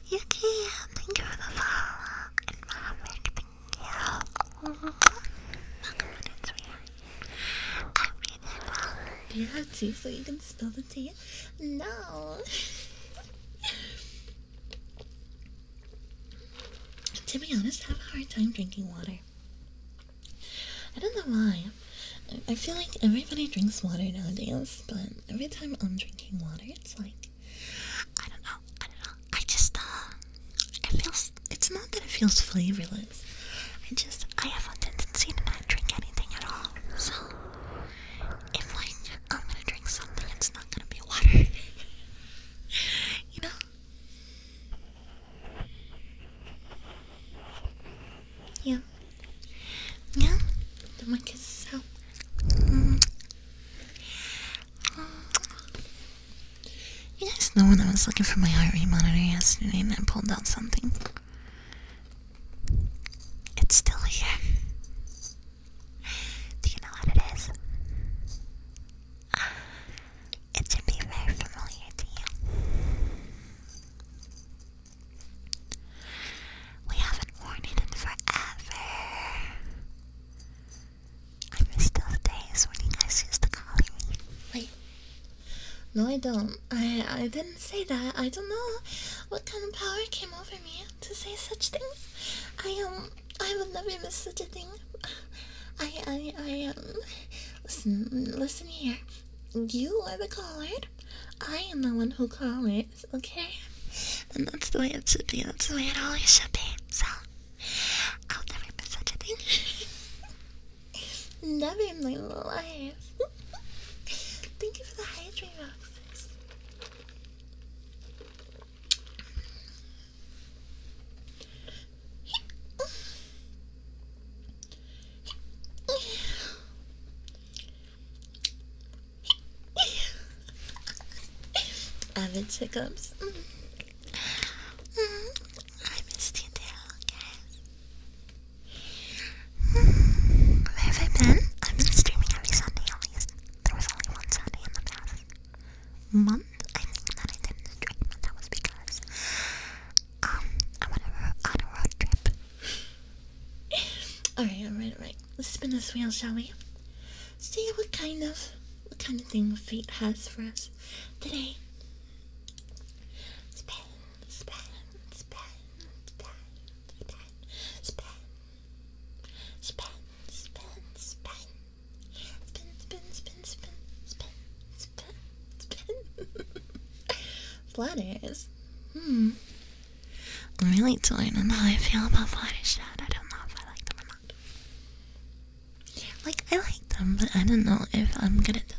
Yuki, thank you for the follow. And Mohammed, thank you. Welcome on in, sweetheart. Do you have tea so you can spill the tea? No. to be honest, I have a hard time drinking water. I don't know why. I feel like everybody drinks water nowadays, but every time I'm drinking water, it's like I don't know. I don't know. I just uh, it feels it's not that it feels flavorless. I just I have a tendency to not drink anything at all. So if I'm gonna drink something, it's not gonna be water. you know. Yeah. Yeah. The mic is so. Mm. You guys know when I was looking for my heart rate monitor yesterday and I pulled out something? It's still here. Do you know what it is? it should be very familiar to you. We haven't worn it in forever. I miss those days when you guys used to call me. Wait, no, I don't. I I didn't say that. I don't know what kind of power came over me to say such things. I um I would never miss such a thing. I I I um listen listen here. You are the caller. I am the one who calls. Okay, and that's the way it should be. That's the way it always should be. So I'll never miss such a thing. Never in my life. Thank you for the hydrate boxes. Avid checkups. Mm -hmm. I missed you too, where have I been? I've been streaming every Sunday at least. There was only one Sunday in the past month, I think, that I didn't that was because um, I went on a road trip. alright, alright, alright. Let's spin this wheel, shall we? See what kind of what kind of thing fate has for us today. Flatters. Hmm. I'm really torn on how I feel about flatters I don't know if I like them or not. Like I like them, but I don't know if I'm good at them.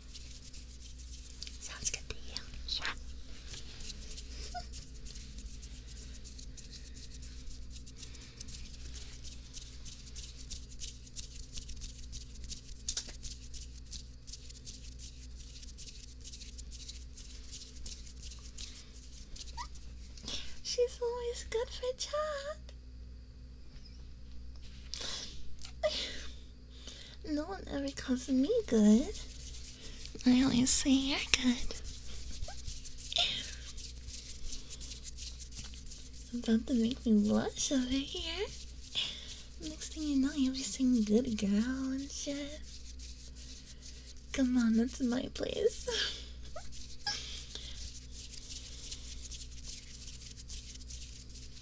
Sounds good to you? She's always good for chat. No one ever calls me good. I always say you're good. It's about to make me blush over here. Next thing you know, you'll be saying good girl and shit. Come on, that's my place.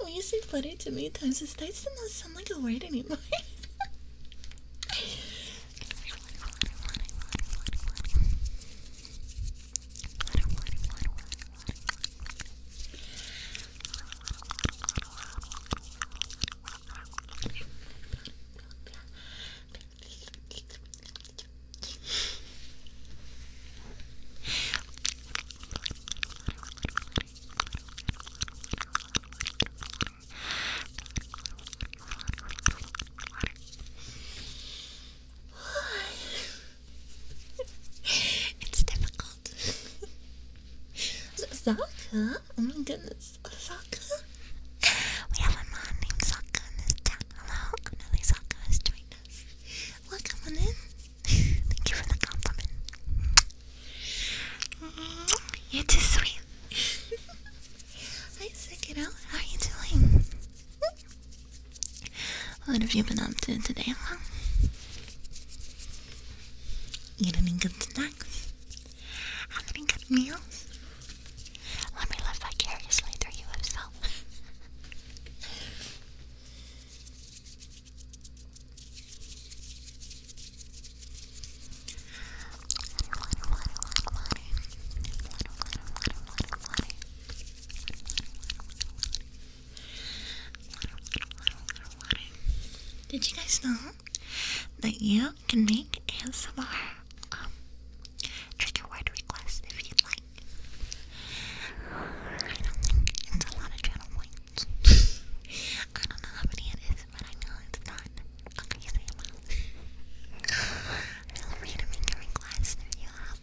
When you say buddy too many times, this does not sound like a word anymore. it's difficult. Zaka? Oh my goodness. Zaka? We have a mom named Zaka in this town. Hello? I'm Zaka. I doing Welcome on Thank you for the compliment. You're too sweet. Hi, Sekiro. How are you doing? What have you been up to today, huh? good snacks? Have good meals? Let me live vicariously through you, if Did you guys know that you can make ASMR um, trigger word requests if you like? I don't think it's a lot of channel points. I don't know how many it is, but I know it's not crazy amount. Feel free to make your request if you have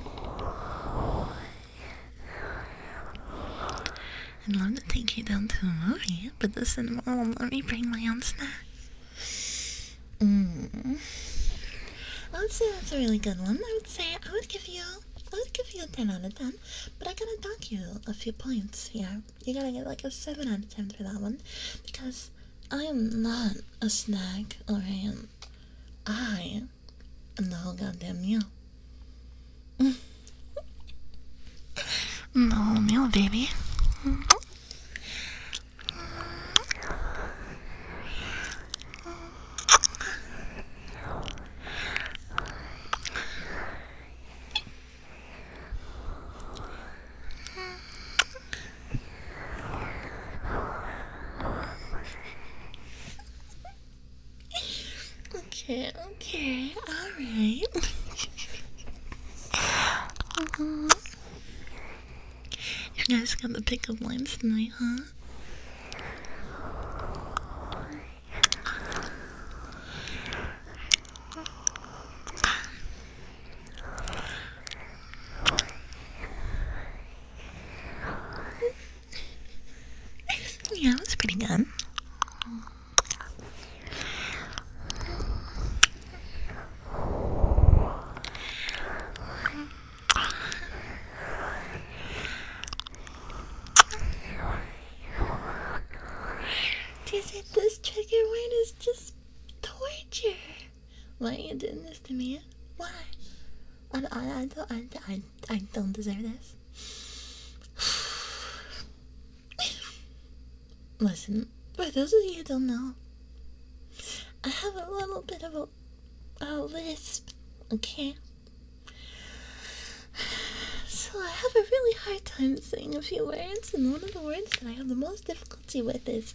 one. I'd love to take you down to a movie, but the cinema won't let me bring my own snacks. Mm. I would say that's a really good one. I would say I would give you I would give you a ten out of ten, but I gotta dock you a few points. Yeah, you gotta get like a seven out of ten for that one, because I am not a snack, or I am the whole goddamn meal. the whole meal, baby. Okay, okay, alright. uh -huh. You guys got the pickup lines tonight, huh? yeah, that pretty good. Is it this chicken wing is just torture. Why are you doing this to me? Why? I, I, I, don't, I, I, I don't deserve this. Listen, for those of you who don't know, I have a little bit of a a lisp, okay? So I have a really hard time saying a few words, and one of the words that I have the most difficulty with is.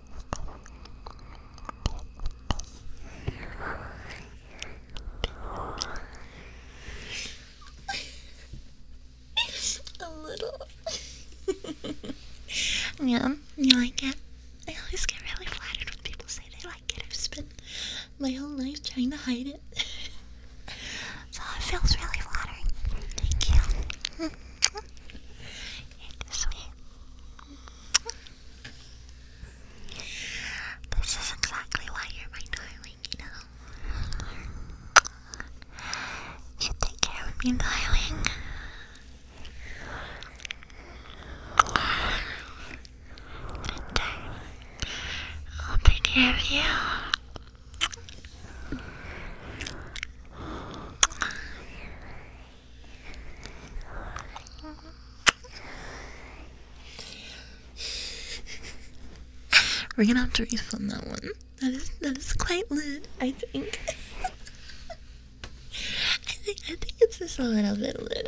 A little. yeah, you like it? I always get really flattered when people say they like it. I've spent my whole life trying to hide it. so it feels really flattering. Thank you. you sweet. This is exactly why you're my darling, you take care of me, darling. And I'll take care of you. We're gonna have to refund that one. That is that is quite lit, I think. I think I think it's just a little bit lit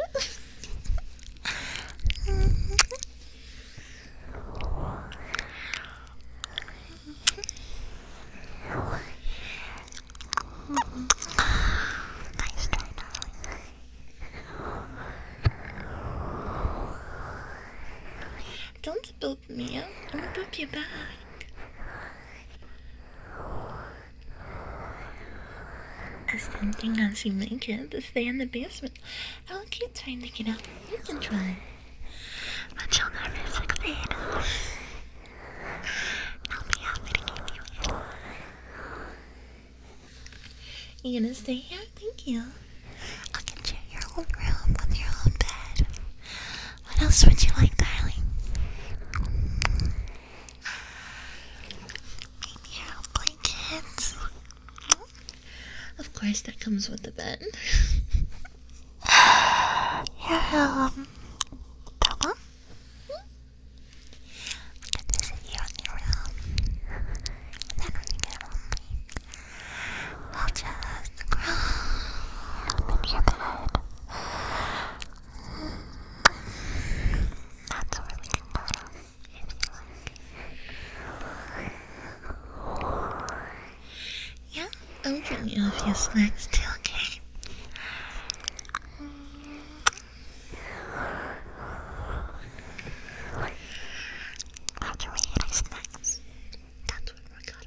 nice try, Don't boop me. I'm gonna boop you back. As tempting as you make it to stay in the basement, I'll keep trying to get out. You can try. But you'll never succeed you one. gonna stay here? Thank you. I can share your own room with your own bed. What else would you like, darling? your own blankets. Of course, that comes with the bed. your um, I can visit you your own. And then when you get lonely, I'll just crawl in your bed. That's where we can go now, Yeah, I'll give you a few snacks too, okay? How do we eat our snacks? That's when we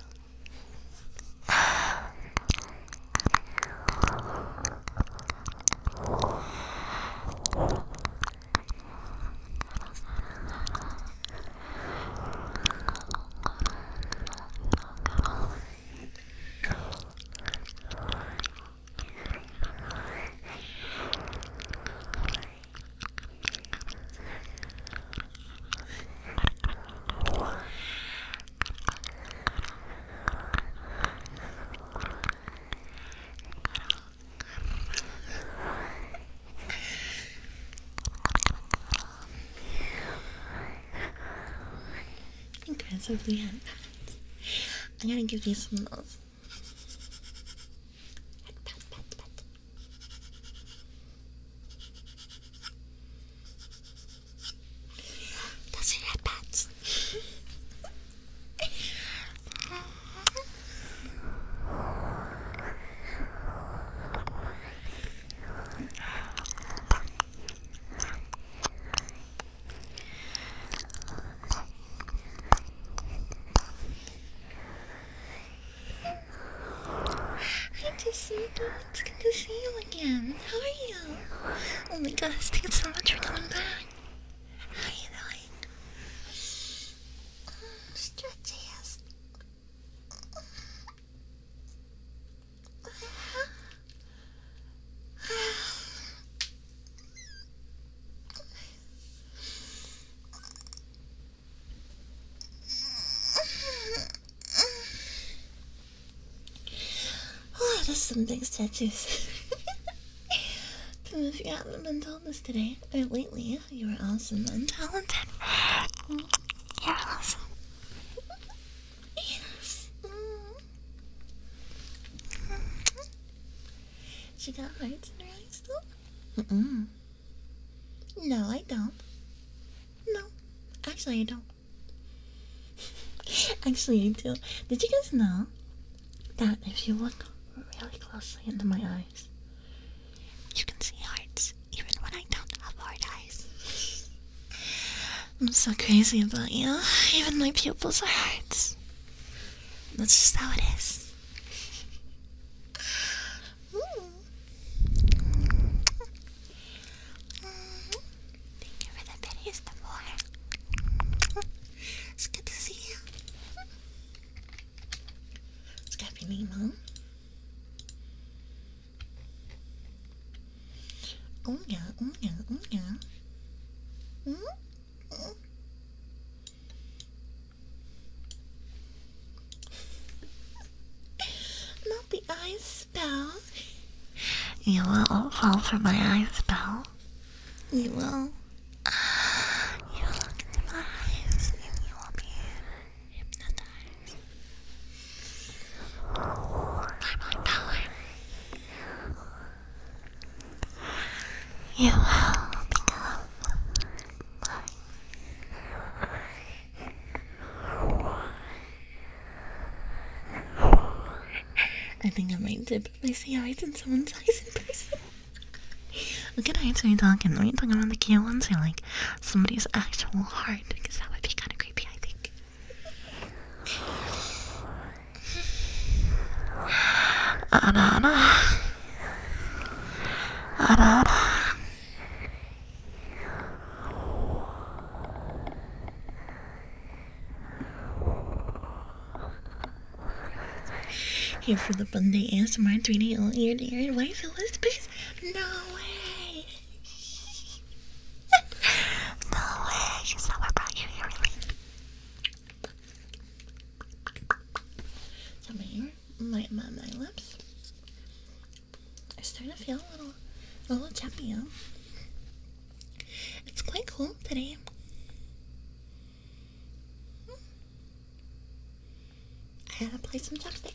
Aggressively and I gotta give you some love. Pat, pat, pat. Those I to see It's good to see you again. How are you? Oh my gosh, you so much for coming back. How are Oh, there's some big statues. Some of you haven't been told this today, or lately, you were awesome and talented. You're awesome she got hearts in her eyes though? No, I don't. No. Actually, I don't. Actually, I do. Did you guys know that if you look really closely into my eyes, you can see hearts even when I don't have hard eyes? I'm so crazy about you. Even my pupils are hearts. That's just how it is. Thank you for the videos, the more. It's good to see you. It's got your name, huh? Oh yeah, oh yeah, oh yeah. Mm -hmm. Not the eye spell. You will fall for my eye spell. You will. You look into my eyes and you will be hypnotized. By my power. You will become mine. I think I might dip my CIs in someone's eyes in person. Look at eyes when you're talking. When you're talking about the cute ones, you like somebody's actual heart, because that would be kind of creepy, I think. Anana. Anana. Here for the Monday ASMR 3D all ear to ear Why fill this space? No way! no way! You saw what brought you here, so my my, my, lips are starting to feel a little, a little chappy. Huh? It's quite cool today. I gotta play some chopstick.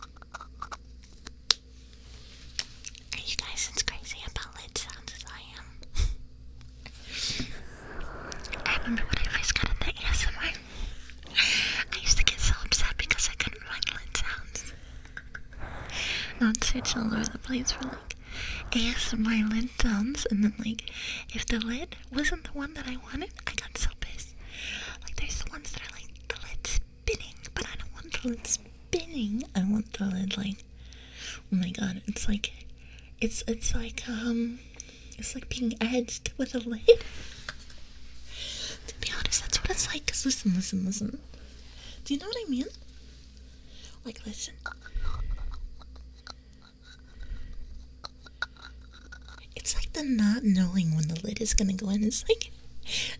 Are you guys as crazy about lid sounds as I am? I remember when I first got into ASMR, I used to get so upset because I couldn't find lid sounds. I would search all over the place were like ASMR lid sounds, and then like if the lid wasn't the one that I wanted, I got so pissed. Like there's the ones that are like the lid's spinning, but I don't want the lid spinning. I want the lid like, oh my god, it's like, it's it's like um, it's like being edged with a lid. to be honest, that's what it's like. Cause listen, listen, listen. Do you know what I mean? Like, listen. It's like the not knowing when the lid is gonna go in. It's like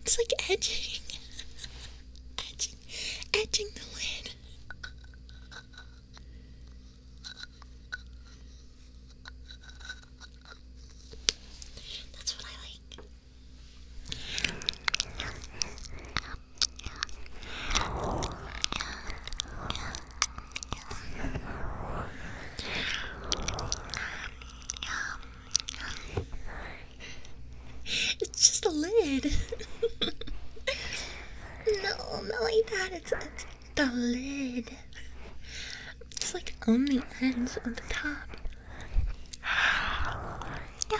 it's like edging, edging, edging the lid. That's what I like. It's just a lid. no, not like that. It's, it's the lid. It's like on the ends on the top. Yeah.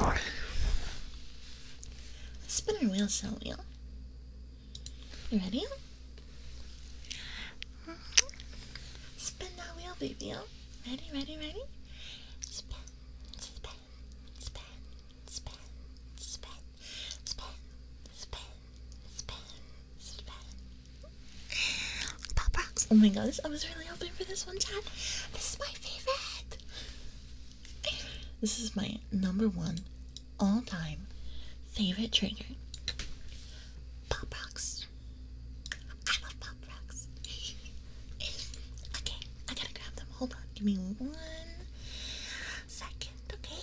Let's spin our wheel, shall You ready? Spin that wheel, baby. Ready, ready, ready? Spin, spin, spin, spin, spin, spin, spin, spin, spin, Pop rocks. Oh my gosh, I was really hoping for this one, Chad. This is my favorite. This is my number one all time favorite trigger. Pop rocks. I love pop rocks. okay, I gotta grab them. Hold on, give me one second, okay?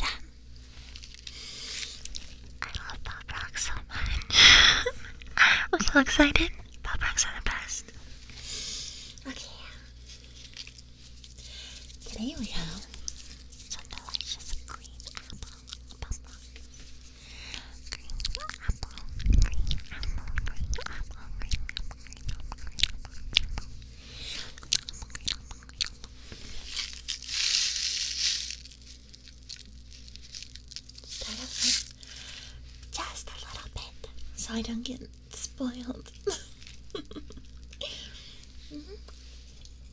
Yeah. I love Bob Rocks so much. I'm so excited. Bob Rocks are the best. Okay. Today we have some delicious green apple buffalo. just a little bit so I don't get spoiled. Mm-hmm.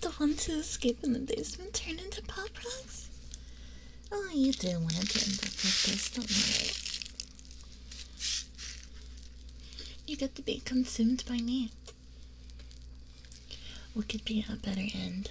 the ones who escape in the basement turned into pop rocks? Oh, you do want to end up like this, don't worry. You got to be consumed by me. What could be a better end?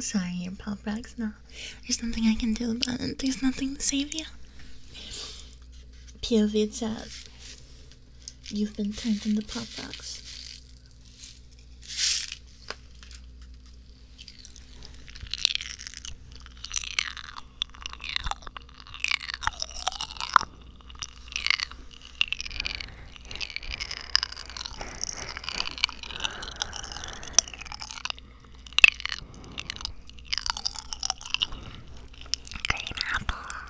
Sorry, your pop back's not. There's nothing I can do about it. There's nothing to save you. POV chat. You've been turned into Pop Rocks. Green apple.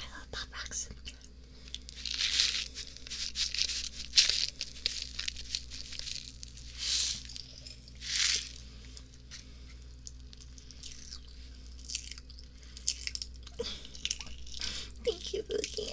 I love pop rocks. Thank you, Boogie.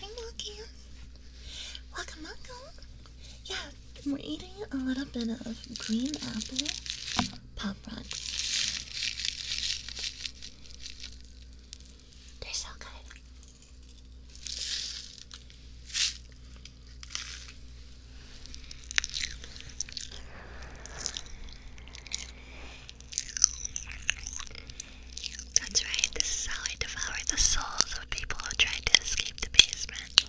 Hi, Milky. Welcome, welcome. Yeah, we're eating a little bit of green apple pop They're so good. That's right, this is how I devour the souls of people who try to escape the basement.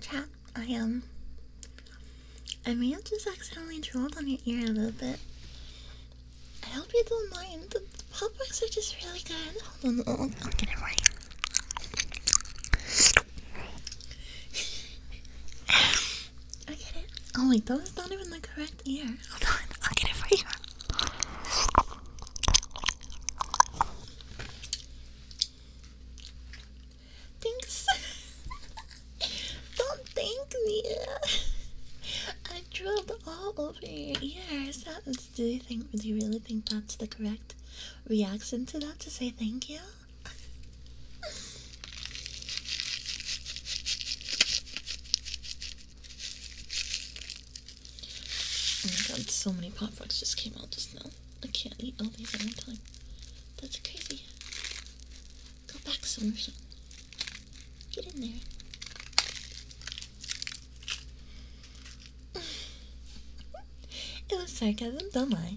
Chat, I am. Um, I may have just accidentally drilled on your ear a little bit. I hope you don't mind. The, the pop are just really good. Hold on, I'll, I'll get it right. I get it. Oh wait, that was not even the correct ear. Hold on, I'll get it for you. Thanks. Don't thank me. I drilled all over your ears. do you think? Do you really think that's the correct reaction to that? To say thank you? Oh my god, so many pop rocks just came out just now. I can't eat all these at one time. That's crazy. Go back, somewhere. Get in there. it was sarcasm, don't lie.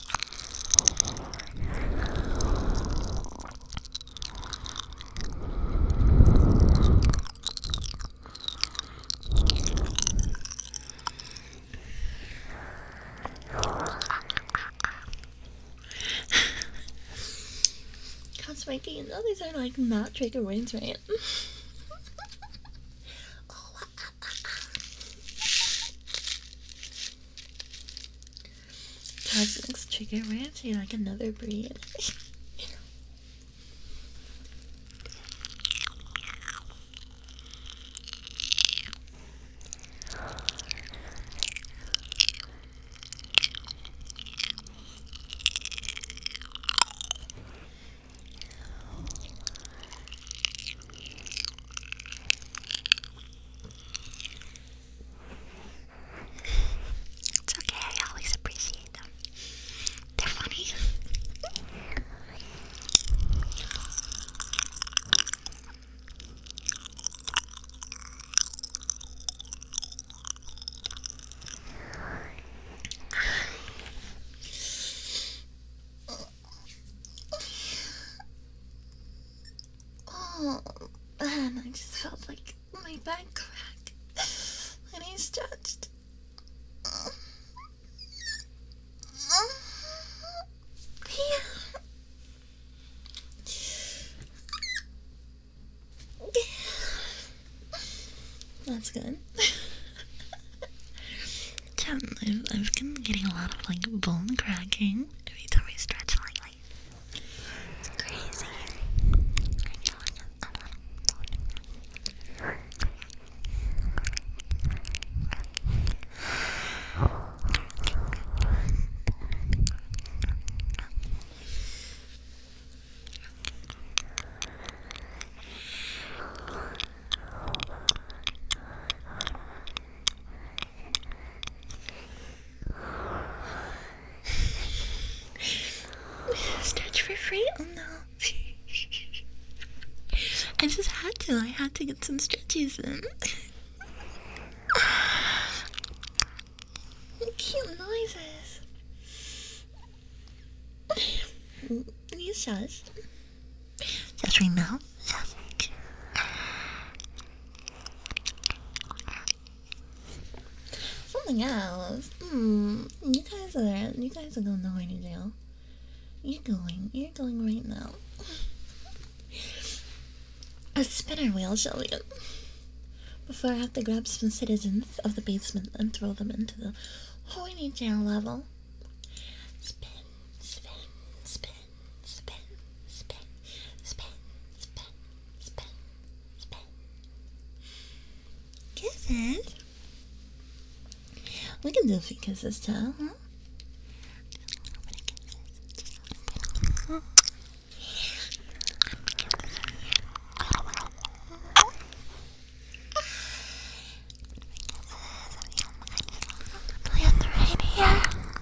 God, Spanky, you know these are like not trigger words, right? oh, uh, uh, uh. Cosmic's chicken ranch, you like another breed. It's okay, I always appreciate them. They're funny. oh man, I just felt like my back crack when he stretched. That's good. Chan, i am getting a lot of like bone cracking every time I stretch lightly. It's crazy. Stretch for free? Oh no. I just had to. I had to get some stretches in. Cute noises. Are you shush? Just right now? Something else. Hmm. You guys are you guys are going nowhere to jail. You're going. You're going right now. A spinner wheel, shall Before I have to grab some citizens of the basement and throw them into the horny jail level. Spin, spin, spin, spin, spin, spin, spin, spin, spin. Good. We can do fingers still, huh? Play on the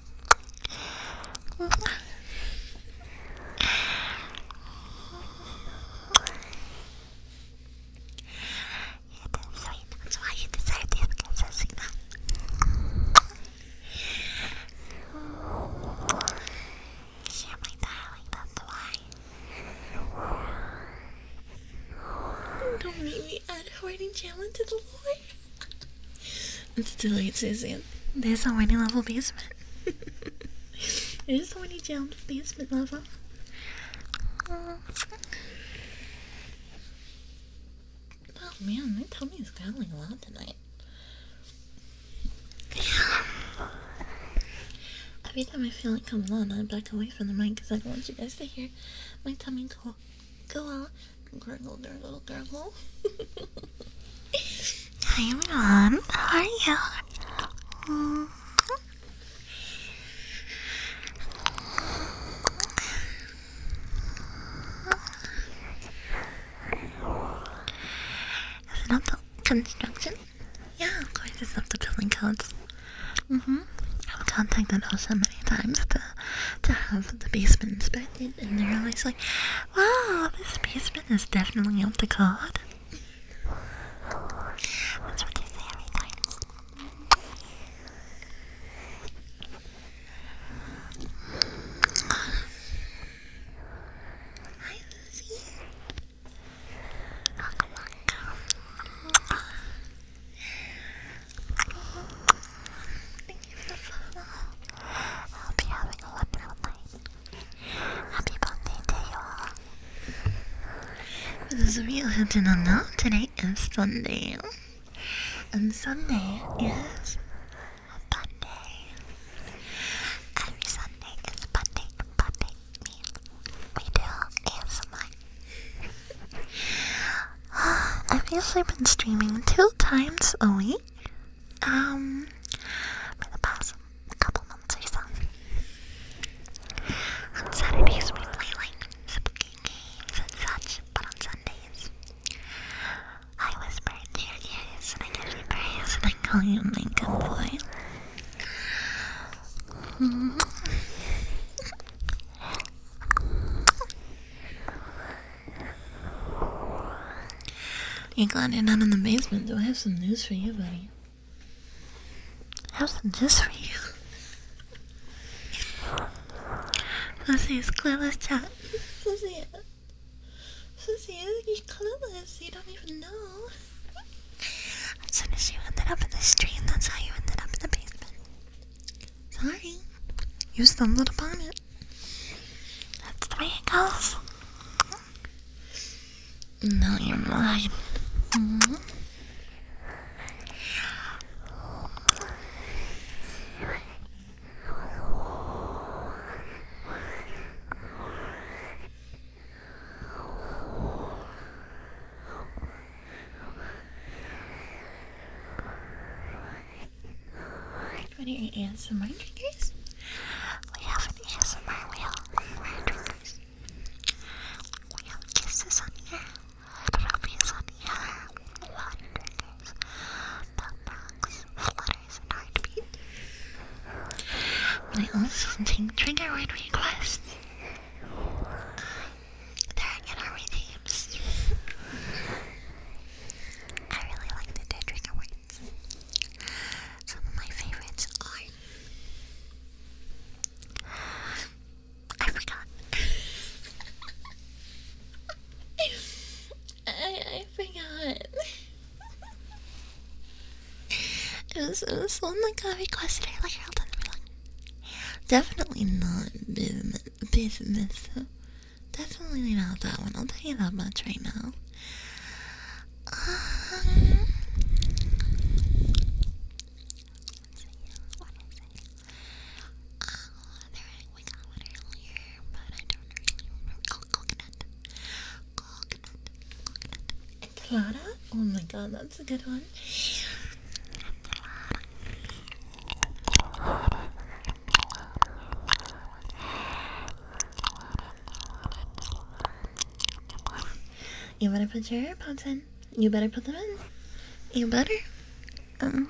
damn sweet. That's why you deserve these gifts, Asina. Share my darling, that's why. Don't make me add a writing challenge to the Lord. Let's do it, Susan. There's so many level basement. There's so many down basement level. Oh man, my tummy's growling a lot tonight. Every time I feel it comes on, I back away from the mic because I don't want you guys to hear my tummy go Go on. Gurgle, gurgle, gurgle. Hi, Mom. How are you? Mm -hmm. Is it up to construction? Yeah, of course it's up to building codes. Mm-hmm. I've contacted OSHA many times to, to have the basement inspected and they're always like, wow, this basement is definitely up to code. That's what they say every time. Hi, Lucy. welcome. I hope you having a wonderful night. Happy birthday to you This is real Hinton on now. Today is Sunday. And Sunday is Monday. Every Sunday is Monday. Monday means we do ASMR. I've usually been streaming two times a week. Um, for the past couple months or so. On Saturdays we play like spooky games and such, but on Sundays I whisper your ears and I give you praise and I call you my good boy. You're glad you're not in the basement, do I have some news for you, buddy. How's the news for you. Pussy is clueless, chat. Pussy, Pussy is clueless. You don't even know. As soon as you ended up in the street, that's how you ended up in the basement. Sorry. You stumbled upon it. That's the way it goes. No, you're what are your ASMR triggers? We have an answer, my on our drawers. We have kisses on here, trophies on here, water triggers, belt rocks, flutters, and heartbeat. We also take trigger requests. They're in our redeems. I really like the dead trigger words. Some of my favorites are. I forgot. I, I forgot. it was it was one that got requested. I like definitely not business. business. Definitely not that one. I'll tell you that much right now. Um, let there, we got one earlier, but I don't remember. coconut. Coconut. Coconut. Enchilada? Oh my god, that's a good one. You better put your AirPods in. You better put them in. You better. Um.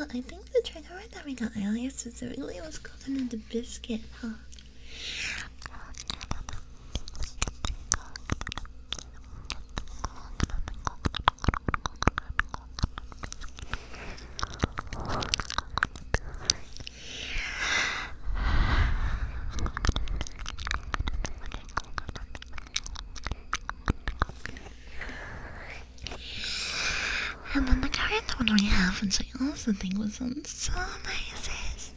But I think the trigger word that we got earlier specifically was golden and the biscuit, huh? And then the current one we have, which I also think was on so nice, is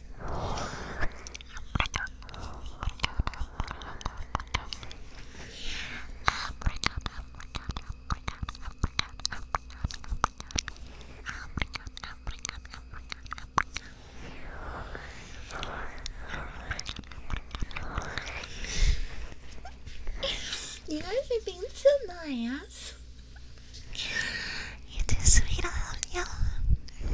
you guys are being so nice. you sweet, I you.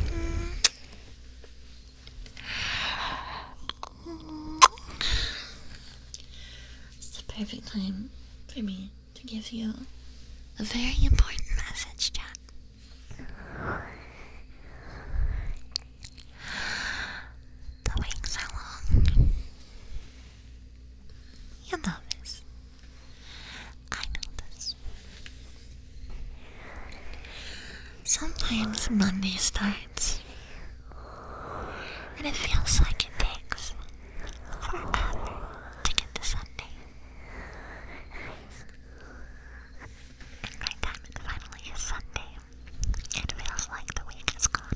It's the perfect time for me to give you a very important message, Jack. The wings are long. You know this. I know this. Sometimes Monday starts, and it feels like it takes forever to get to Sunday finally is Sunday. It feels like the week is gone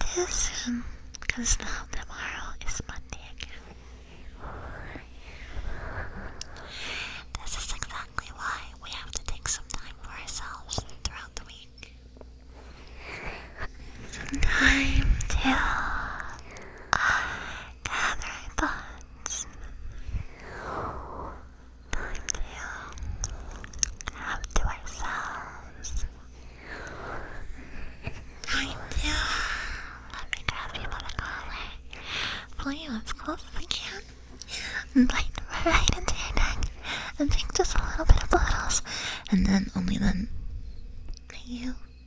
too soon, now tomorrow is Monday again. This is exactly why we have to take some time for ourselves throughout the week. time till gather thoughts. Time to have to ourselves. Time to let me grab you by the collar, pull you as close as I can, and bite right into your neck, and take just a little bit of bottles, and then, only then, you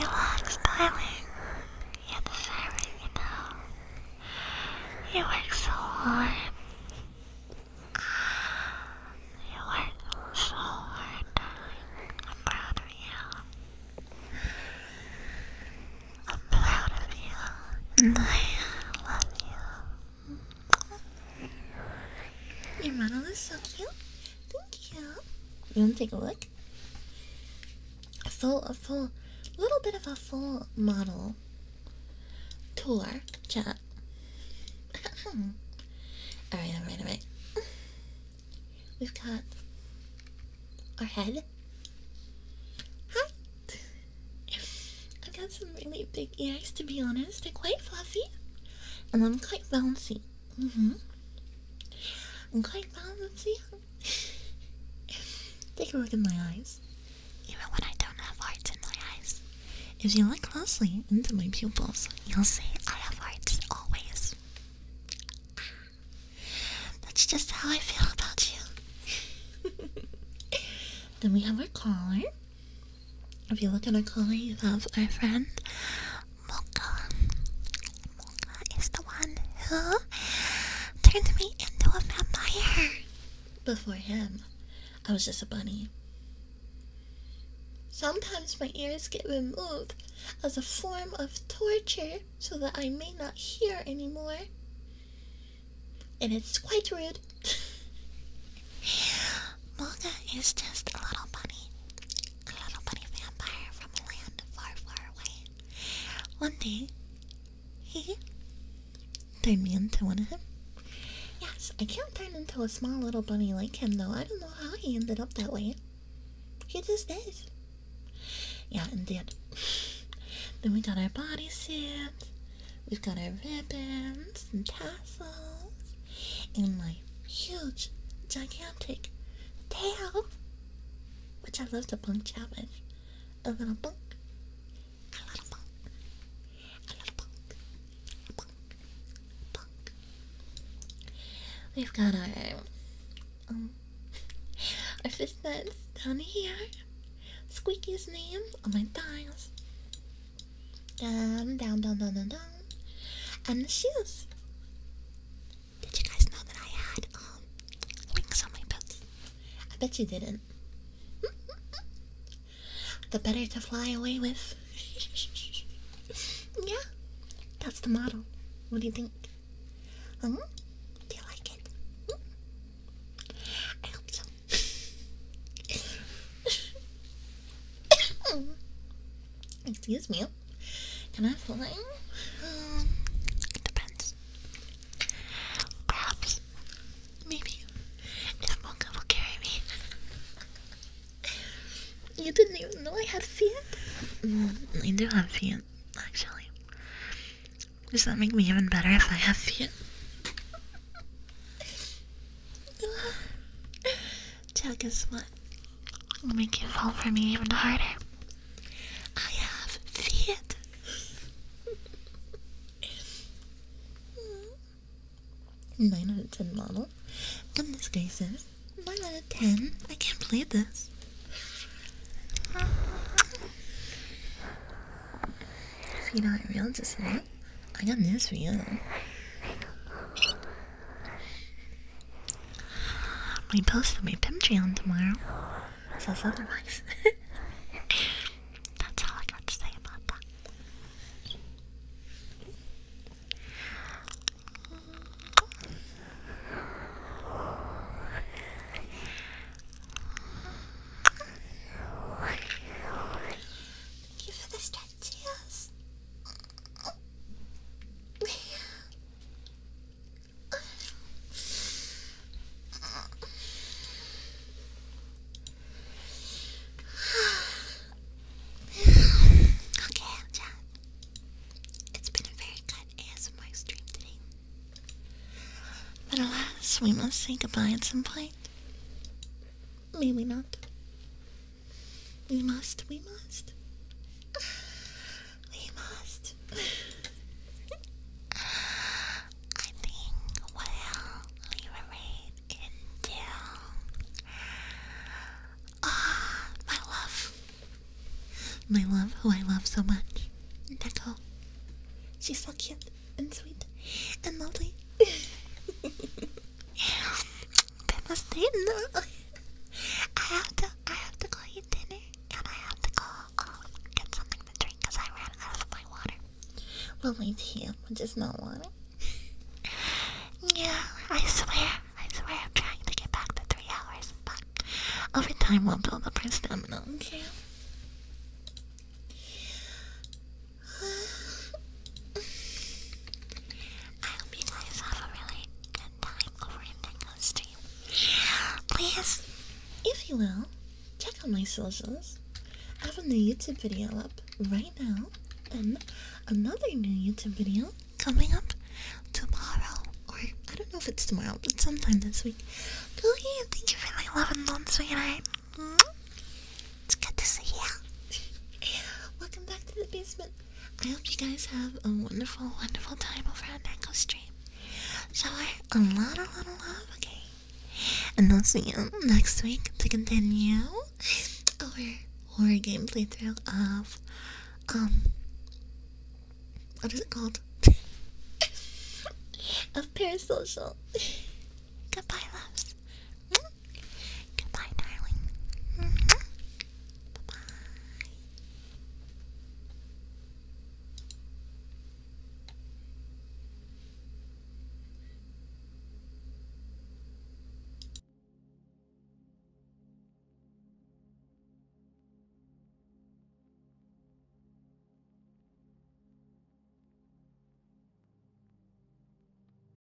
Relax, darling. You deserve it, you know. You work so hard. You work so hard, darling. I'm proud of you. I'm proud of you. And I love you. Your model is so cute. Thank you. You want to take a look? A full, a full, little bit of a full model tour chat. all right, all right, all right. We've got our head. Hi. I've got some really big ears to be honest. They're quite fluffy, and I'm quite bouncy. Mm hmm I'm quite bouncy. Take a look at my eyes. Even when I don't have hearts in my eyes. If you look closely into my pupils, you'll see I have hearts always. That's just how I feel about you. then we have our collar if you look at a corner, you have our friend Mocha. Mocha is the one who turned me into a vampire. Before him, I was just a bunny. Sometimes my ears get removed as a form of torture so that I may not hear anymore. And it's quite rude Moga is just a little bunny, a little bunny vampire from a land far, far away. One day, he turned me into one of him. Yes, I can't turn into a small little bunny like him though. I don't know how he ended up that way. He just is. Yeah, indeed. Then we got our bodies bodysuit. We've got our ribbons and tassels and my huge, gigantic tail, which I love to bunk chat with. A little bunk, a little bunk, a little bunk, a bunk, a bunk. We've got our, um, our fist nuts down here. Squeaky's name on my thighs. Down, down, down, down, down, down. And the shoes. Did you guys know that I had um, wings on my boots? I bet you didn't. the better to fly away with. yeah, that's the model. What do you think? Hmm? do you like it? Hmm? I hope so. Excuse me. Can I have Um, depends. Perhaps. Maybe. If Monka will carry me. You didn't even know I had Fiat? Mm, I do have Fiat, actually. Does that make me even better if I have Fiat? Check is what will make you fall for me even harder. I have feet. Nine out of ten model. Goodness gracious. Nine out of ten. I can't believe this. If you aren't real, just say I got news for you. My post will be Patreon tomorrow. That's all I got to say about that. Thank you for this time. Cheers. okay, Jack. It's been a very good ASMR stream today. But alas, we must say goodbye at some point. May we not. We must, we must. We must. I think well we were made into Ah, my love. My love, who I love so much. Neko. She's so cute and sweet and lovely. famous name. No. I have to, I have to go eat dinner, and I have to go um, get something to drink because I ran out of my water. Well, my tea, which is not water. yeah, I swear, I swear, I'm trying to get back to three hours, but over time we'll build up our stamina. Okay. I hope you guys have a really good time over in Dingo's stream. Please, if you will, check out my socials. I have a new YouTube video up right now, and another new YouTube video coming up tomorrow. Or I don't know if it's tomorrow, but sometime this week. Go ahead. think you for my love and love, sweetheart. Mm it's good to see you. Welcome back to the basement. I hope you guys have a wonderful, wonderful time over at Echo Stream. Shower a lot, a lot of love, okay? And I'll see you next week to continue our horror game playthrough of, um, what is it called? of Parasocial. Goodbye, loves. Goodbye, darling. bye.